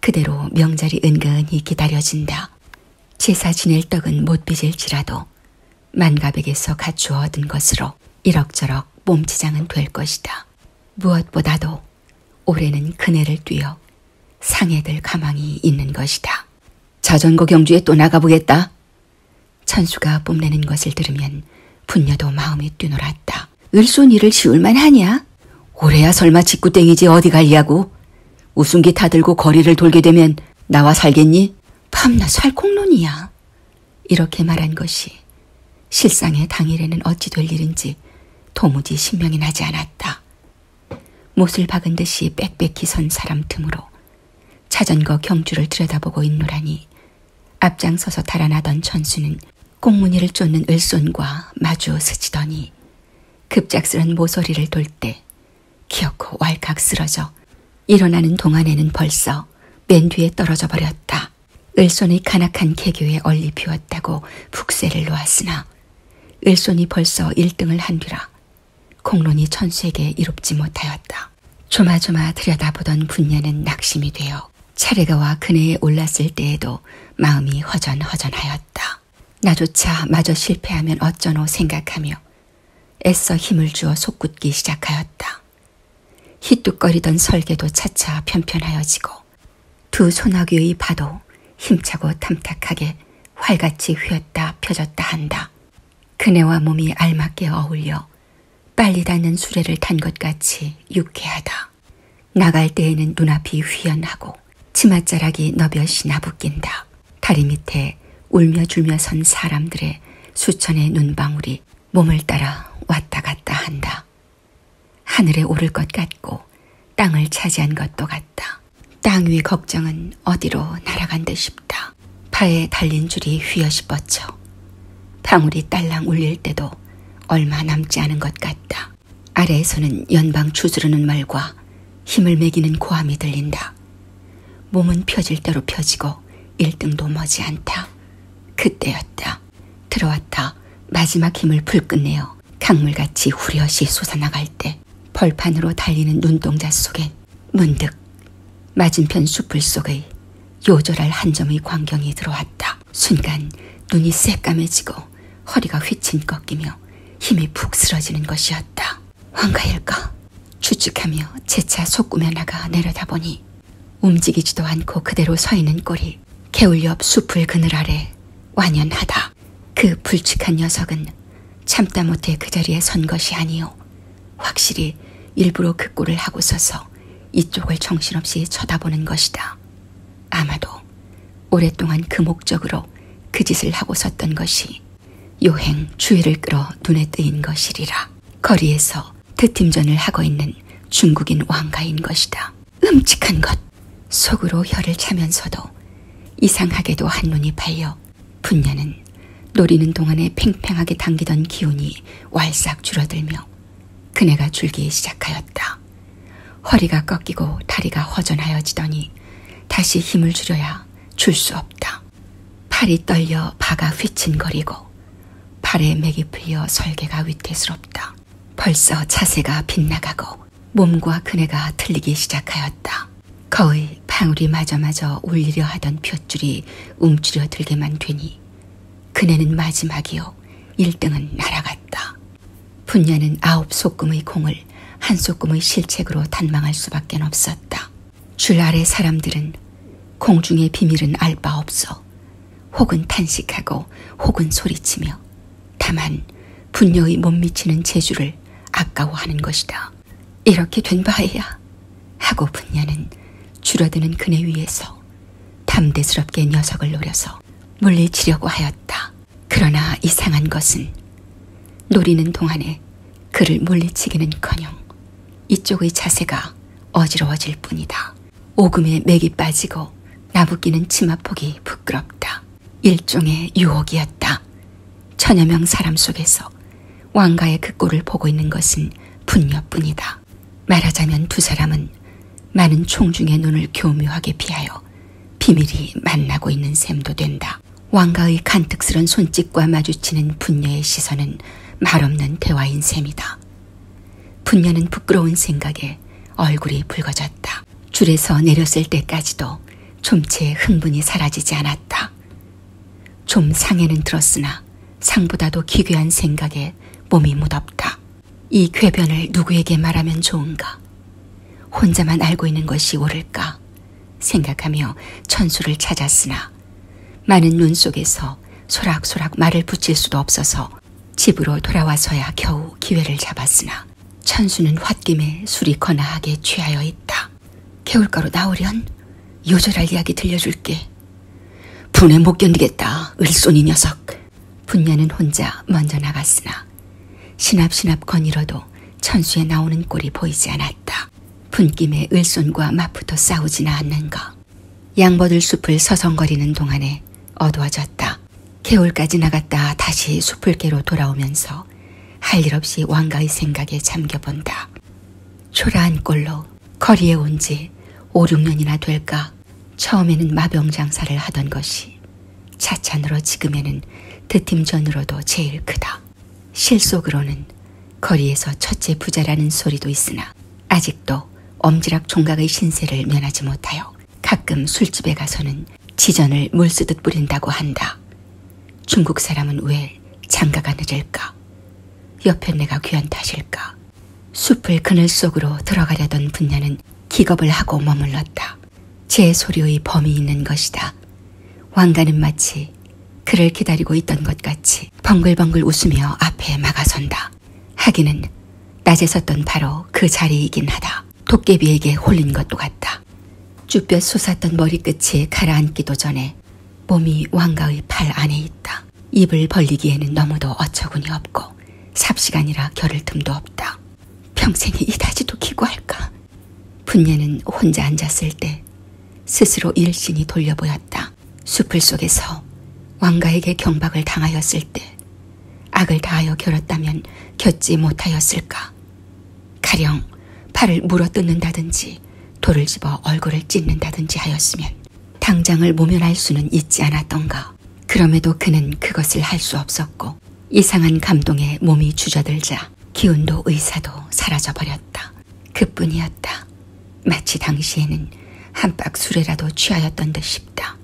그대로 명절이 은근히 기다려진다. 제사 지낼 떡은 못 빚을지라도 만갑에게서 갖추어 얻은 것으로 이럭저럭 몸치장은 될 것이다. 무엇보다도 올해는 그네를 뛰어 상해될 가망이 있는 것이다. 자전거 경주에 또 나가보겠다. 천수가 뽐내는 것을 들으면 분녀도 마음이 뛰놀았다. 야, 을손이를 지울만 하냐? 올해야 설마 직구땡이지 어디 갈려고? 우승기 타들고 거리를 돌게 되면 나와 살겠니? 밤낮 살콩론이야. 이렇게 말한 것이 실상의 당일에는 어찌 될 일인지 도무지 신명이 나지 않았다. 못을 박은 듯이 빽빽히 선 사람 틈으로 자전거 경주를 들여다보고 있노라니 앞장서서 달아나던 천수는 꽁무니를 쫓는 을손과 마주 스치더니 급작스런 모서리를 돌 때 기어코 왈칵 쓰러져 일어나는 동안에는 벌써 맨 뒤에 떨어져 버렸다. 을손의 간악한 개교에 얼리 비웠다고 북쇠를 놓았으나 을손이 벌써 1등을 한 뒤라 공론이 천수에게 이롭지 못하였다. 조마조마 들여다보던 분녀는 낙심이 되어 차례가 와 그네에 올랐을 때에도 마음이 허전허전하였다. 나조차 마저 실패하면 어쩌노 생각하며 애써 힘을 주어 속굳기 시작하였다. 희뚝거리던 설계도 차차 편편하여지고 두 소나귀의 파도 힘차고 탐탁하게 활같이 휘었다 펴졌다 한다. 그네와 몸이 알맞게 어울려 빨리 닿는 수레를 탄 것 같이 유쾌하다. 나갈 때에는 눈앞이 휘연하고 치맛자락이 너벼시 나부낀다. 다리 밑에 울며줄며 선 사람들의 수천의 눈방울이 몸을 따라 왔다 갔다 한다. 하늘에 오를 것 같고 땅을 차지한 것도 같다. 땅 위 걱정은 어디로 날아간 듯 싶다. 파에 달린 줄이 휘어시 뻗쳐 방울이 딸랑 울릴 때도 얼마 남지 않은 것 같다. 아래에서는 연방 추스르는 말과 힘을 매기는 고함이 들린다. 몸은 펴질 대로 펴지고 일등도 머지않다. 그때였다. 들어왔다. 마지막 힘을 불끝내어 강물같이 후려시 솟아나갈 때 벌판으로 달리는 눈동자 속에 문득 맞은편 숲을 속의 요절할 한 점의 광경이 들어왔다. 순간 눈이 새까매지고 허리가 휘친 꺾이며 힘이 푹 쓰러지는 것이었다. 황가일까? 추측하며 재차 속구며 나가 내려다보니 움직이지도 않고 그대로 서 있는 꼴이 개울 옆 숲을 그늘 아래 완연하다. 그 불측한 녀석은 참다 못해 그 자리에 선 것이 아니오. 확실히 일부러 그 꼴을 하고 서서 이쪽을 정신없이 쳐다보는 것이다. 아마도 오랫동안 그 목적으로 그 짓을 하고 섰던 것이 요행 주의를 끌어 눈에 띄인 것이리라. 거리에서 드팀전을 하고 있는 중국인 왕가인 것이다. 끔찍한 것! 속으로 혀를 차면서도 이상하게도 한눈이 팔려 분녀는 노리는 동안에 팽팽하게 당기던 기운이 왈싹 줄어들며 그네가 줄기 시작하였다. 허리가 꺾이고 다리가 허전하여지더니 다시 힘을 줄여야 줄 수 없다. 팔이 떨려 바가 휘친거리고 팔에 맥이 풀려 설계가 위태스럽다. 벌써 자세가 빗나가고 몸과 그네가 틀리기 시작하였다. 거의 방울이 마저마저 울리려 하던 볏줄이 움츠려 들게만 되니 그네는 마지막이요. 1등은 날아갔다. 분녀는 아홉 소금의 공을 한 소금의 실책으로 단망할 수밖에 없었다. 줄 아래 사람들은 공중의 비밀은 알 바 없어 혹은 탄식하고 혹은 소리치며 다만 분녀의 못 미치는 재주를 아까워하는 것이다. 이렇게 된 바에야 하고 분녀는 줄어드는 그네 위에서 담대스럽게 녀석을 노려서 물리치려고 하였다. 그러나 이상한 것은 노리는 동안에 그를 물리치기는커녕 이쪽의 자세가 어지러워질 뿐이다. 오금에 맥이 빠지고 나부끼는 치마폭이 부끄럽다. 일종의 유혹이었다. 천여 명 사람 속에서 왕가의 그 꼴을 보고 있는 것은 분녀뿐이다. 말하자면 두 사람은 많은 총중의 눈을 교묘하게 피하여 비밀이 만나고 있는 셈도 된다. 왕가의 간특스런 손짓과 마주치는 분녀의 시선은 말없는 대화인 셈이다. 분녀는 부끄러운 생각에 얼굴이 붉어졌다. 줄에서 내렸을 때까지도 좀채 흥분이 사라지지 않았다. 좀 상해는 들었으나 상보다도 기괴한 생각에 몸이 무덥다. 이 쾌변을 누구에게 말하면 좋은가? 혼자만 알고 있는 것이 옳을까? 생각하며 천수를 찾았으나 많은 눈 속에서 소락소락 말을 붙일 수도 없어서 집으로 돌아와서야 겨우 기회를 잡았으나 천수는 홧김에 술이 거나하게 취하여 있다. 개울가로 나오련 요절할 이야기 들려줄게. 분에 못 견디겠다. 을손이 녀석. 분녀는 혼자 먼저 나갔으나 신압신압 거닐어도 천수에 나오는 꼴이 보이지 않았다. 분김에 을손과 맞붙어 싸우지는 않는가. 양버들 숲을 서성거리는 동안에 어두워졌다. 개울까지 나갔다 다시 숲을개로 돌아오면서 할 일 없이 왕가의 생각에 잠겨본다. 초라한 꼴로 거리에 온 지 5, 6년이나 될까 처음에는 마병 장사를 하던 것이 차찬으로 지금에는 드팀전으로도 제일 크다. 실속으로는 거리에서 첫째 부자라는 소리도 있으나 아직도 엄지락 종각의 신세를 면하지 못하여 가끔 술집에 가서는 지전을 물쓰듯 뿌린다고 한다. 중국 사람은 왜 장가가 늦을까? 옆에 내가 귀한 탓일까? 숲을 그늘 속으로 들어가려던 분녀는 기겁을 하고 머물렀다. 제 소리의 범이 있는 것이다. 왕가는 마치 그를 기다리고 있던 것 같이 벙글벙글 웃으며 앞에 막아선다. 하기는 낮에 섰던 바로 그 자리이긴 하다. 도깨비에게 홀린 것도 같다. 쭈뼛 솟았던 머리끝이 가라앉기도 전에 몸이 왕가의 팔 안에 있다. 입을 벌리기에는 너무도 어처구니 없고 거 삽시간이라 겨를 틈도 없다. 평생에 이다지도 기구할까. 분예는 혼자 앉았을 때 스스로 일신이 돌려보였다. 숲을 속에서 왕가에게 경박을 당하였을 때 악을 다하여 결었다면 겪지 못하였을까. 가령 팔을 물어뜯는다든지 돌을 집어 얼굴을 찢는다든지 하였으면 당장을 모면할 수는 있지 않았던가. 그럼에도 그는 그것을 할 수 없었고 이상한 감동에 몸이 주저들자 기운도 의사도 사라져버렸다. 그뿐이었다. 마치 당시에는 한박 술에라도 취하였던 듯 싶다.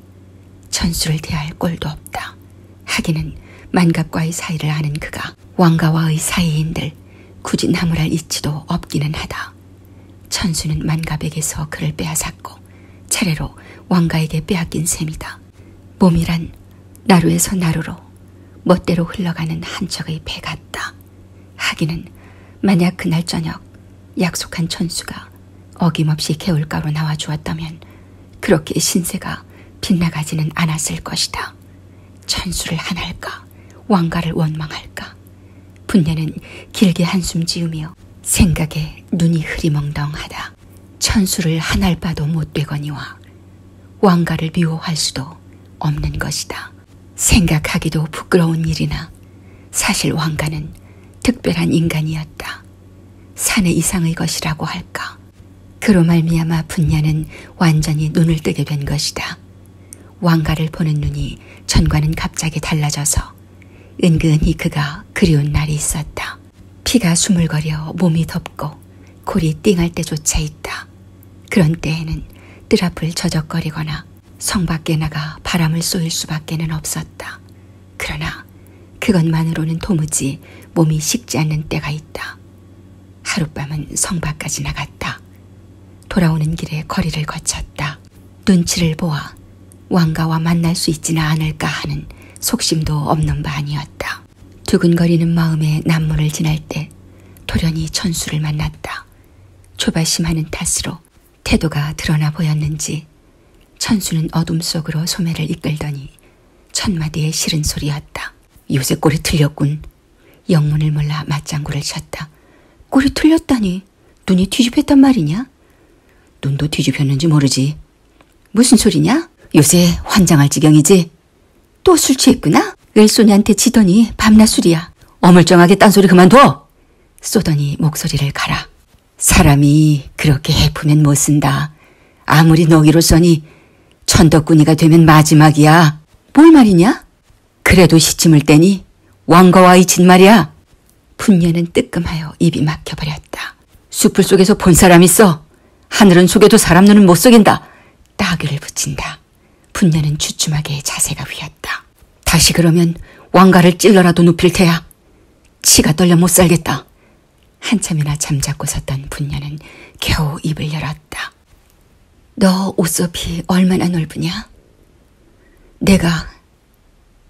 천수를 대할 꼴도 없다. 하기는 만갑과의 사이를 아는 그가 왕가와의 사이인들 굳이 나무랄 이치도 없기는 하다. 천수는 만갑에게서 그를 빼앗았고 차례로 왕가에게 빼앗긴 셈이다. 몸이란 나루에서 나루로 멋대로 흘러가는 한척의 배 같다. 하기는 만약 그날 저녁 약속한 천수가 어김없이 개울가로 나와 주었다면 그렇게 신세가 빗나가지는 않았을 것이다. 천수를 한할까 왕가를 원망할까 분녀는 길게 한숨 지으며 생각에 눈이 흐리멍덩하다. 천수를 한 알바도 못 되거니와 왕가를 미워할 수도 없는 것이다. 생각하기도 부끄러운 일이나 사실 왕가는 특별한 인간이었다. 사내 이상의 것이라고 할까. 그로 말미암아 분야는 완전히 눈을 뜨게 된 것이다. 왕가를 보는 눈이 전과는 갑자기 달라져서 은근히 그가 그리운 날이 있었다. 피가 수물거려 몸이 덥고 골이 띵할 때조차 있다. 그런 때에는 뜰 앞을 저적거리거나 성 밖에 나가 바람을 쏘일 수밖에는 없었다. 그러나 그것만으로는 도무지 몸이 식지 않는 때가 있다. 하룻밤은 성 밖까지 나갔다. 돌아오는 길에 거리를 거쳤다. 눈치를 보아 왕가와 만날 수 있지는 않을까 하는 속심도 없는 바 아니었다. 두근거리는 마음에 남문을 지날 때 돌연히 천수를 만났다. 초발심하는 탓으로 태도가 드러나 보였는지 천수는 어둠 속으로 소매를 이끌더니 첫마디의 싫은 소리였다. 요새 꼬리 틀렸군. 영문을 몰라 맞장구를 쳤다. 꼬리 틀렸다니 눈이 뒤집혔단 말이냐? 눈도 뒤집혔는지 모르지. 무슨 소리냐? 요새 환장할 지경이지? 또 술 취했구나? 을소녀한테 치더니 밤낮 술이야. 어물쩡하게 딴소리 그만둬! 쏘더니 목소리를 가라. 사람이 그렇게 해프면 못 쓴다. 아무리 너기로 써니 천덕꾸니가 되면 마지막이야. 뭘 말이냐? 그래도 시침을 떼니 왕거와 이친 말이야. 분녀는 뜨끔하여 입이 막혀버렸다. 숲풀 속에서 본 사람 있어. 하늘은 속에도 사람 눈은 못 속인다. 따귀를 붙인다. 분녀는 주춤하게 자세가 휘었다. 다시 그러면 왕가를 찔러라도 눕힐 테야. 치가 떨려 못 살겠다. 한참이나 잠자고 섰던 분녀는 겨우 입을 열었다. 너 옷소피 얼마나 넓으냐? 내가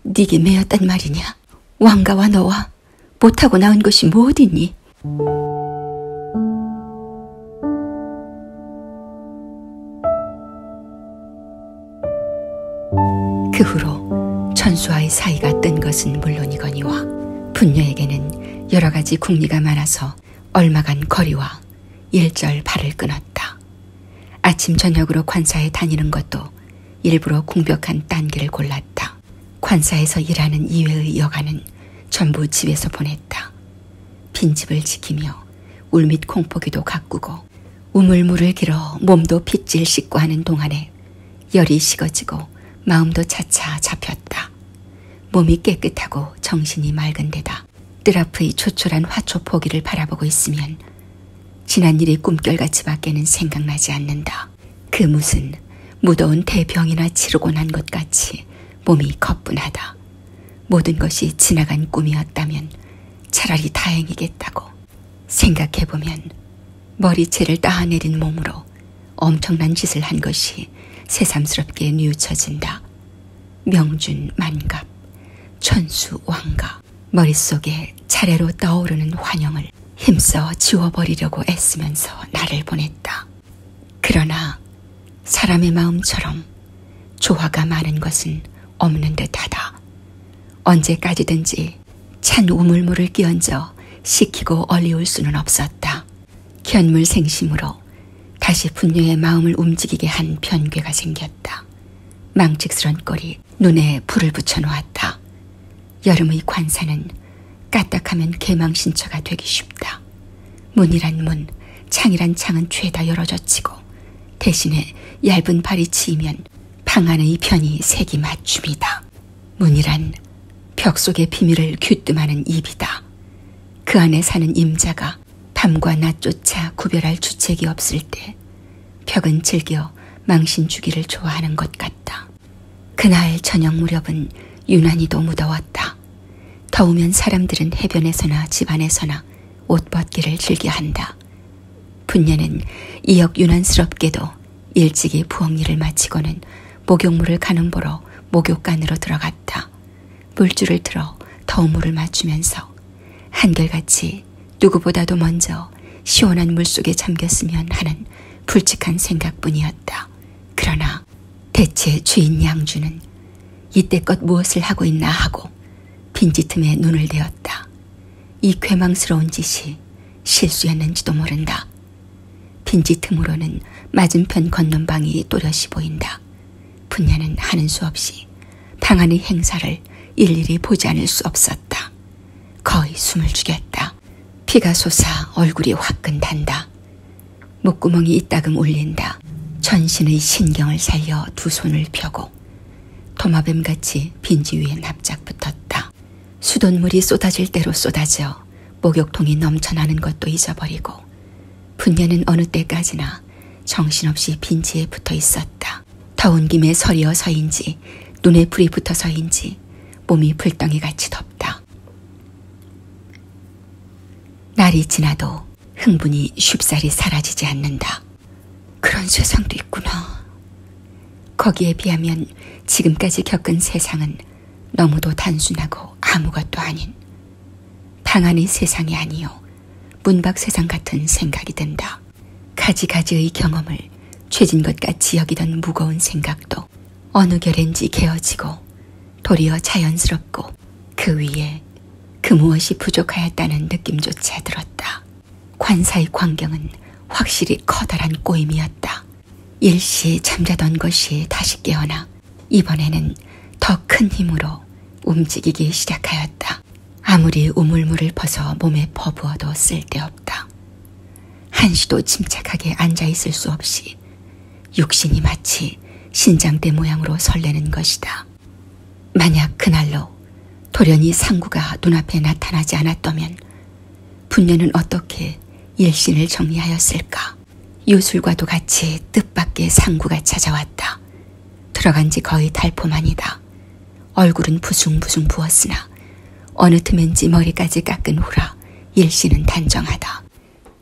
네게 매였단 말이냐? 왕가와 너와 못하고 나은 것이 뭐 어딨니? 그 후로 천수와의 사이가 뜬 것은 물론이거니와 분녀에게는 여러 가지 궁리가 많아서 얼마간 거리와 일절 발을 끊었다. 아침 저녁으로 관사에 다니는 것도 일부러 공벽한 딴기를 골랐다. 관사에서 일하는 이외의 여가는 전부 집에서 보냈다. 빈집을 지키며 울밑 콩포기도 가꾸고 우물물을 길어 몸도 핏질 씻고 하는 동안에 열이 식어지고 마음도 차차 잡혔다. 몸이 깨끗하고 정신이 맑은 데다 뜰 앞의 초촐한 화초 포기를 바라보고 있으면 지난 일이 꿈결같이 밖에는 생각나지 않는다. 그 무슨 무더운 대병이나 치르고 난 것 같이 몸이 거뿐하다. 모든 것이 지나간 꿈이었다면 차라리 다행이겠다고 생각해보면 머리채를 따내린 몸으로 엄청난 짓을 한 것이 새삼스럽게 뉘우쳐진다. 명준 만갑, 천수 왕갑, 머릿속에 차례로 떠오르는 환영을 힘써 지워버리려고 애쓰면서 나를 보냈다. 그러나 사람의 마음처럼 조화가 많은 것은 없는 듯하다. 언제까지든지 찬 우물물을 끼얹어 식히고 얼리울 수는 없었다. 견물 생심으로 다시 분녀의 마음을 움직이게 한 변괴가 생겼다. 망측스런 꼴이 눈에 불을 붙여놓았다. 여름의 관사는 까딱하면 개망신처가 되기 쉽다. 문이란 문, 창이란 창은 죄다 열어젖히고 대신에 얇은 발이 치이면 방 안의 편이 색이 맞춤이다. 문이란 벽 속의 비밀을 귀뜸하는 입이다. 그 안에 사는 임자가 밤과 낮조차 구별할 주책이 없을 때 격은 즐겨 망신 주기를 좋아하는 것 같다. 그날 저녁 무렵은 유난히도 무더웠다. 더우면 사람들은 해변에서나 집 안에서나 옷 벗기를 즐겨한다. 분녀는 이역 유난스럽게도 일찍이 부엌일을 마치고는 목욕물을 가는 보러 목욕간으로 들어갔다. 물줄을 틀어 더운 물을 맞추면서 한결같이 때문에 누구보다도 먼저 시원한 물속에 잠겼으면 하는 불측한 생각뿐이었다. 그러나 대체 주인 양주는 이때껏 무엇을 하고 있나 하고 빈지틈에 눈을 대었다. 이 괴망스러운 짓이 실수였는지도 모른다. 빈지틈으로는 맞은편 건넌방이 또렷이 보인다. 분야는 하는 수 없이 방안의 행사를 일일이 보지 않을 수 없었다. 거의 숨을 죽였다. 피가 솟아 얼굴이 화끈단다. 목구멍이 이따금 울린다. 전신의 신경을 살려 두 손을 펴고 도마뱀같이 빈지 위에 납작 붙었다. 수돗물이 쏟아질 대로 쏟아져 목욕통이 넘쳐나는 것도 잊어버리고 분녀는 어느 때까지나 정신없이 빈지에 붙어 있었다. 타온 김에 서리어 서인지 눈에 불이 붙어서인지 몸이 불덩이 같이 덥다. 날이 지나도 흥분이 쉽사리 사라지지 않는다. 그런 세상도 있구나. 거기에 비하면 지금까지 겪은 세상은 너무도 단순하고 아무것도 아닌 방 안의 세상이 아니요 문밖 세상 같은 생각이 든다. 가지가지의 경험을 죄진 것 같이 여기던 무거운 생각도 어느 결엔지 개어지고 도리어 자연스럽고 그 위에 그 무엇이 부족하였다는 느낌조차 들었다. 관사의 광경은 확실히 커다란 꼬임이었다. 일시 잠자던 것이 다시 깨어나 이번에는 더 큰 힘으로 움직이기 시작하였다. 아무리 우물물을 퍼서 몸에 퍼부어도 쓸데없다. 한시도 침착하게 앉아있을 수 없이 육신이 마치 신장대 모양으로 설레는 것이다. 만약 그날로 돌연히 상구가 눈앞에 나타나지 않았다면 분녀는 어떻게 일신을 정리하였을까? 요술과도 같이 뜻밖의 상구가 찾아왔다. 들어간 지 거의 달포만이다. 얼굴은 부숭부숭 부었으나 어느 틈엔지 머리까지 깎은 후라 일시는 단정하다.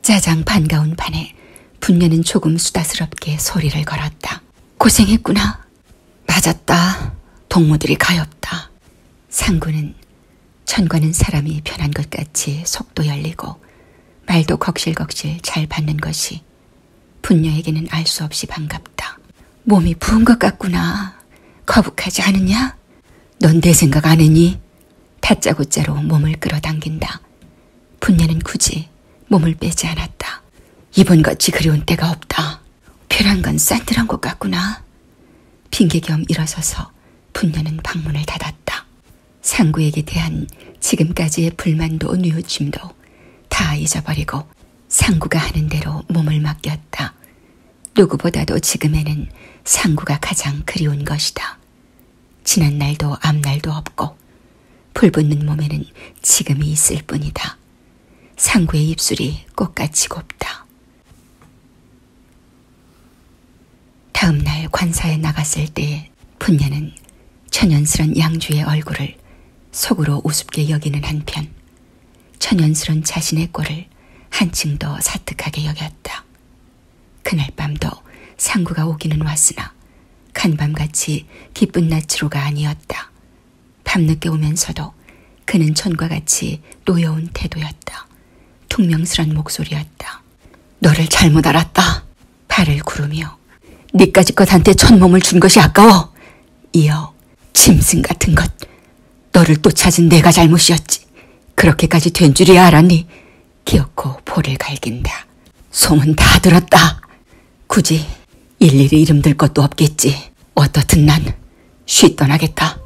짜장 반가운 반에 분녀는 조금 수다스럽게 소리를 걸었다. 고생했구나. 맞았다. 동무들이 가엾다. 상구는 천과는 사람이 변한 것 같이 속도 열리고 말도 걱실걱실 잘 받는 것이 분녀에게는 알 수 없이 반갑다. 몸이 부은 것 같구나. 거북하지 않느냐? 넌 내 생각 안 했니? 다짜고짜로 몸을 끌어당긴다. 분녀는 굳이 몸을 빼지 않았다. 이번같이 그리운 때가 없다. 벼란 건 싼들한 것 같구나. 핑계 겸 일어서서 분녀는 방문을 닫았다. 상구에게 대한 지금까지의 불만도 뉘우침도 다 잊어버리고 상구가 하는 대로 몸을 맡겼다. 누구보다도 지금에는 상구가 가장 그리운 것이다. 지난 날도 앞날도 없고 불붙는 몸에는 지금이 있을 뿐이다. 상구의 입술이 꽃같이 곱다. 다음 날 관사에 나갔을 때 분녀는 천연스런 양주의 얼굴을 속으로 우습게 여기는 한편 천연스런 자신의 꼴을 한층 더 사특하게 여겼다. 그날 밤도 상구가 오기는 왔으나 간밤같이 기쁜 낯으로가 아니었다. 밤늦게 오면서도 그는 전과 같이 노여운 태도였다. 퉁명스런 목소리였다. 너를 잘못 알았다. 발을 구르며 니까지껏 한테 천 몸을 준 것이 아까워. 이어 짐승 같은 것. 너를 또 찾은 내가 잘못이었지. 그렇게까지 된 줄이야 알았니? 기어코 볼을 갈긴다. 소문 다 들었다. 굳이 일일이 이름 들 것도 없겠지. 어떻든 난 쉬 떠나겠다.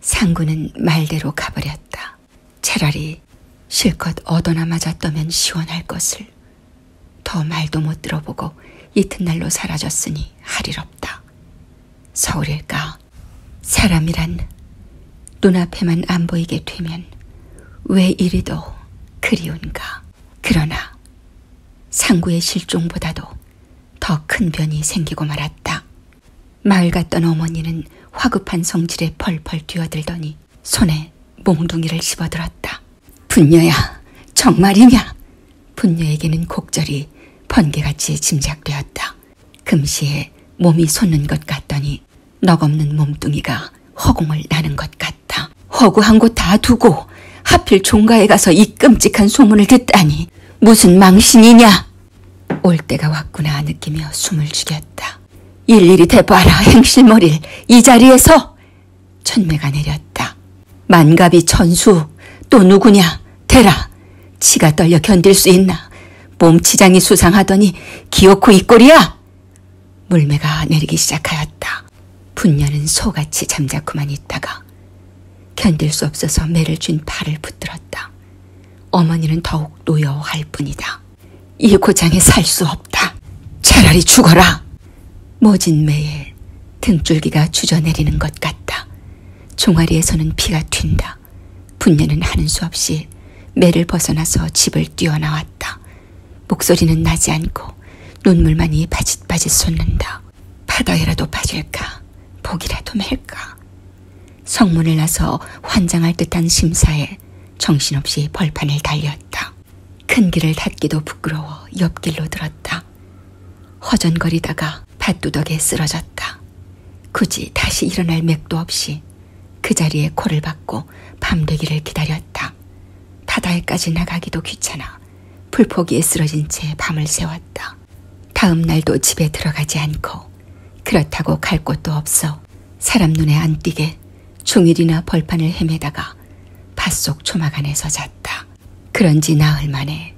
상구는 말대로 가버렸다. 차라리 실컷 얻어나 맞았다면 시원할 것을. 더 말도 못 들어보고 이튿날로 사라졌으니 할일 없다. 서울일까? 사람이란 눈앞에만 안 보이게 되면 왜 이리도 그리운가? 그러나 상구의 실종보다도 더큰 변이 생기고 말았다. 마을 갔던 어머니는 화급한 성질에 펄펄 뛰어들더니 손에 몽둥이를 집어들었다. 분녀야, 정말이냐? 분녀에게는 곡절이 번개같이 짐작되었다. 금시에 몸이 솟는 것 같더니 넉없는 몸뚱이가 허공을 나는 것 같다. 허구한 곳 다 두고 하필 종가에 가서 이 끔찍한 소문을 듣다니. 하니 무슨 망신이냐. 올 때가 왔구나 느끼며 숨을 죽였다. 일일이 대봐라 행실머리를 이 자리에서 천매가 내렸다. 만갑이 천수 또 누구냐 대라 치가 떨려 견딜 수 있나 몸치장이 수상하더니 기어코 이 꼴이야. 물매가 내리기 시작하였다. 분녀는 소같이 잠자코만 있다가 견딜 수 없어서 매를 쥔 팔을 붙들었다. 어머니는 더욱 노여워할 뿐이다. 이 고장에 살 수 없다. 차라리 죽어라. 모진 매에 등줄기가 주저내리는 것 같다. 종아리에서는 피가 튄다. 분녀는 하는 수 없이 매를 벗어나서 집을 뛰어나왔다. 목소리는 나지 않고 눈물만이 바짓바짓 솟는다. 바닥이라도 빠질까 복이라도 맬까 성문을 나서 환장할 듯한 심사에 정신없이 벌판을 달렸다. 큰 길을 닫기도 부끄러워 옆길로 들었다. 허전거리다가 밭두덕에 쓰러졌다. 굳이 다시 일어날 맥도 없이 그 자리에 코를 박고 밤되기를 기다렸다. 바다에까지 나가기도 귀찮아 풀포기에 쓰러진 채 밤을 새웠다. 다음 날도 집에 들어가지 않고 그렇다고 갈 곳도 없어 사람 눈에 안 띄게 종일이나 벌판을 헤매다가 밭 속 초막 안에서 잤다. 그런지 나흘 만에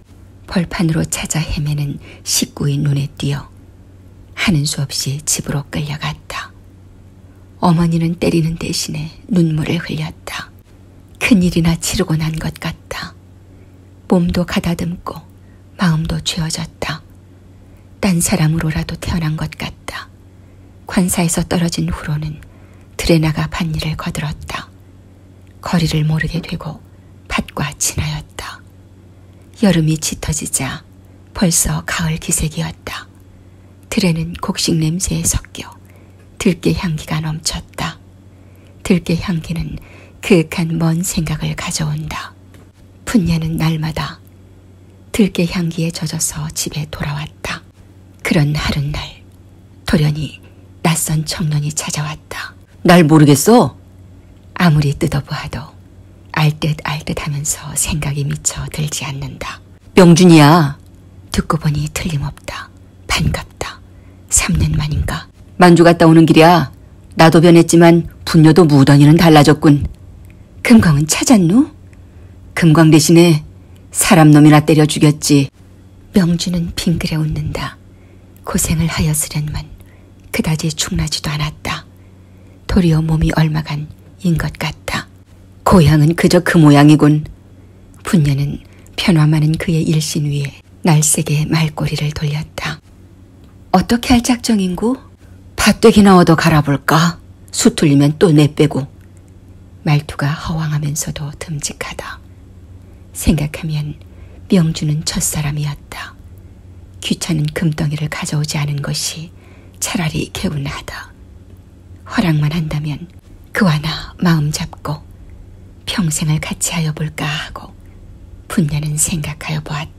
벌판으로 찾아 헤매는 식구의 눈에 띄어 하는 수 없이 집으로 끌려갔다. 어머니는 때리는 대신에 눈물을 흘렸다. 큰일이나 치르고 난 것 같다. 몸도 가다듬고 마음도 죄어졌다. 딴 사람으로라도 태어난 것 같다. 관사에서 떨어진 후로는 들에 나가 밭일을 거들었다. 거리를 모르게 되고 밭과 친하였다. 여름이 짙어지자 벌써 가을 기색이었다. 들에는 곡식 냄새에 섞여 들깨 향기가 넘쳤다. 들깨 향기는 그윽한 먼 생각을 가져온다. 푼녀는 날마다 들깨 향기에 젖어서 집에 돌아왔다. 그런 하룻날 돌연히 낯선 청년이 찾아왔다. 날 모르겠어? 아무리 뜯어보아도 알듯 알듯 하면서 생각이 미쳐 들지 않는다. 명준이야. 듣고 보니 틀림없다. 반갑다. 3년 만인가 만주 갔다 오는 길이야. 나도 변했지만 분녀도 무던이는 달라졌군. 금광은 찾았누? 금광 대신에 사람 놈이나 때려 죽였지. 명주는 빙그레 웃는다. 고생을 하였으련만 그다지 충나지도 않았다. 도리어 몸이 얼마간 인 것 같다. 고향은 그저 그 모양이군. 분녀는 편화많은 그의 일신 위에 날쌔게 말꼬리를 돌렸다. 어떻게 할 작정인고? 밭대기나 얻어 갈아볼까? 수틀리면 또 내빼고. 말투가 허황하면서도 듬직하다. 생각하면 명주는 첫사람이었다. 귀찮은 금덩이를 가져오지 않은 것이 차라리 개운하다. 허락만 한다면 그와 나 마음 잡고 평생을 같이 하여 볼까 하고 분녀는 생각하여 보았다.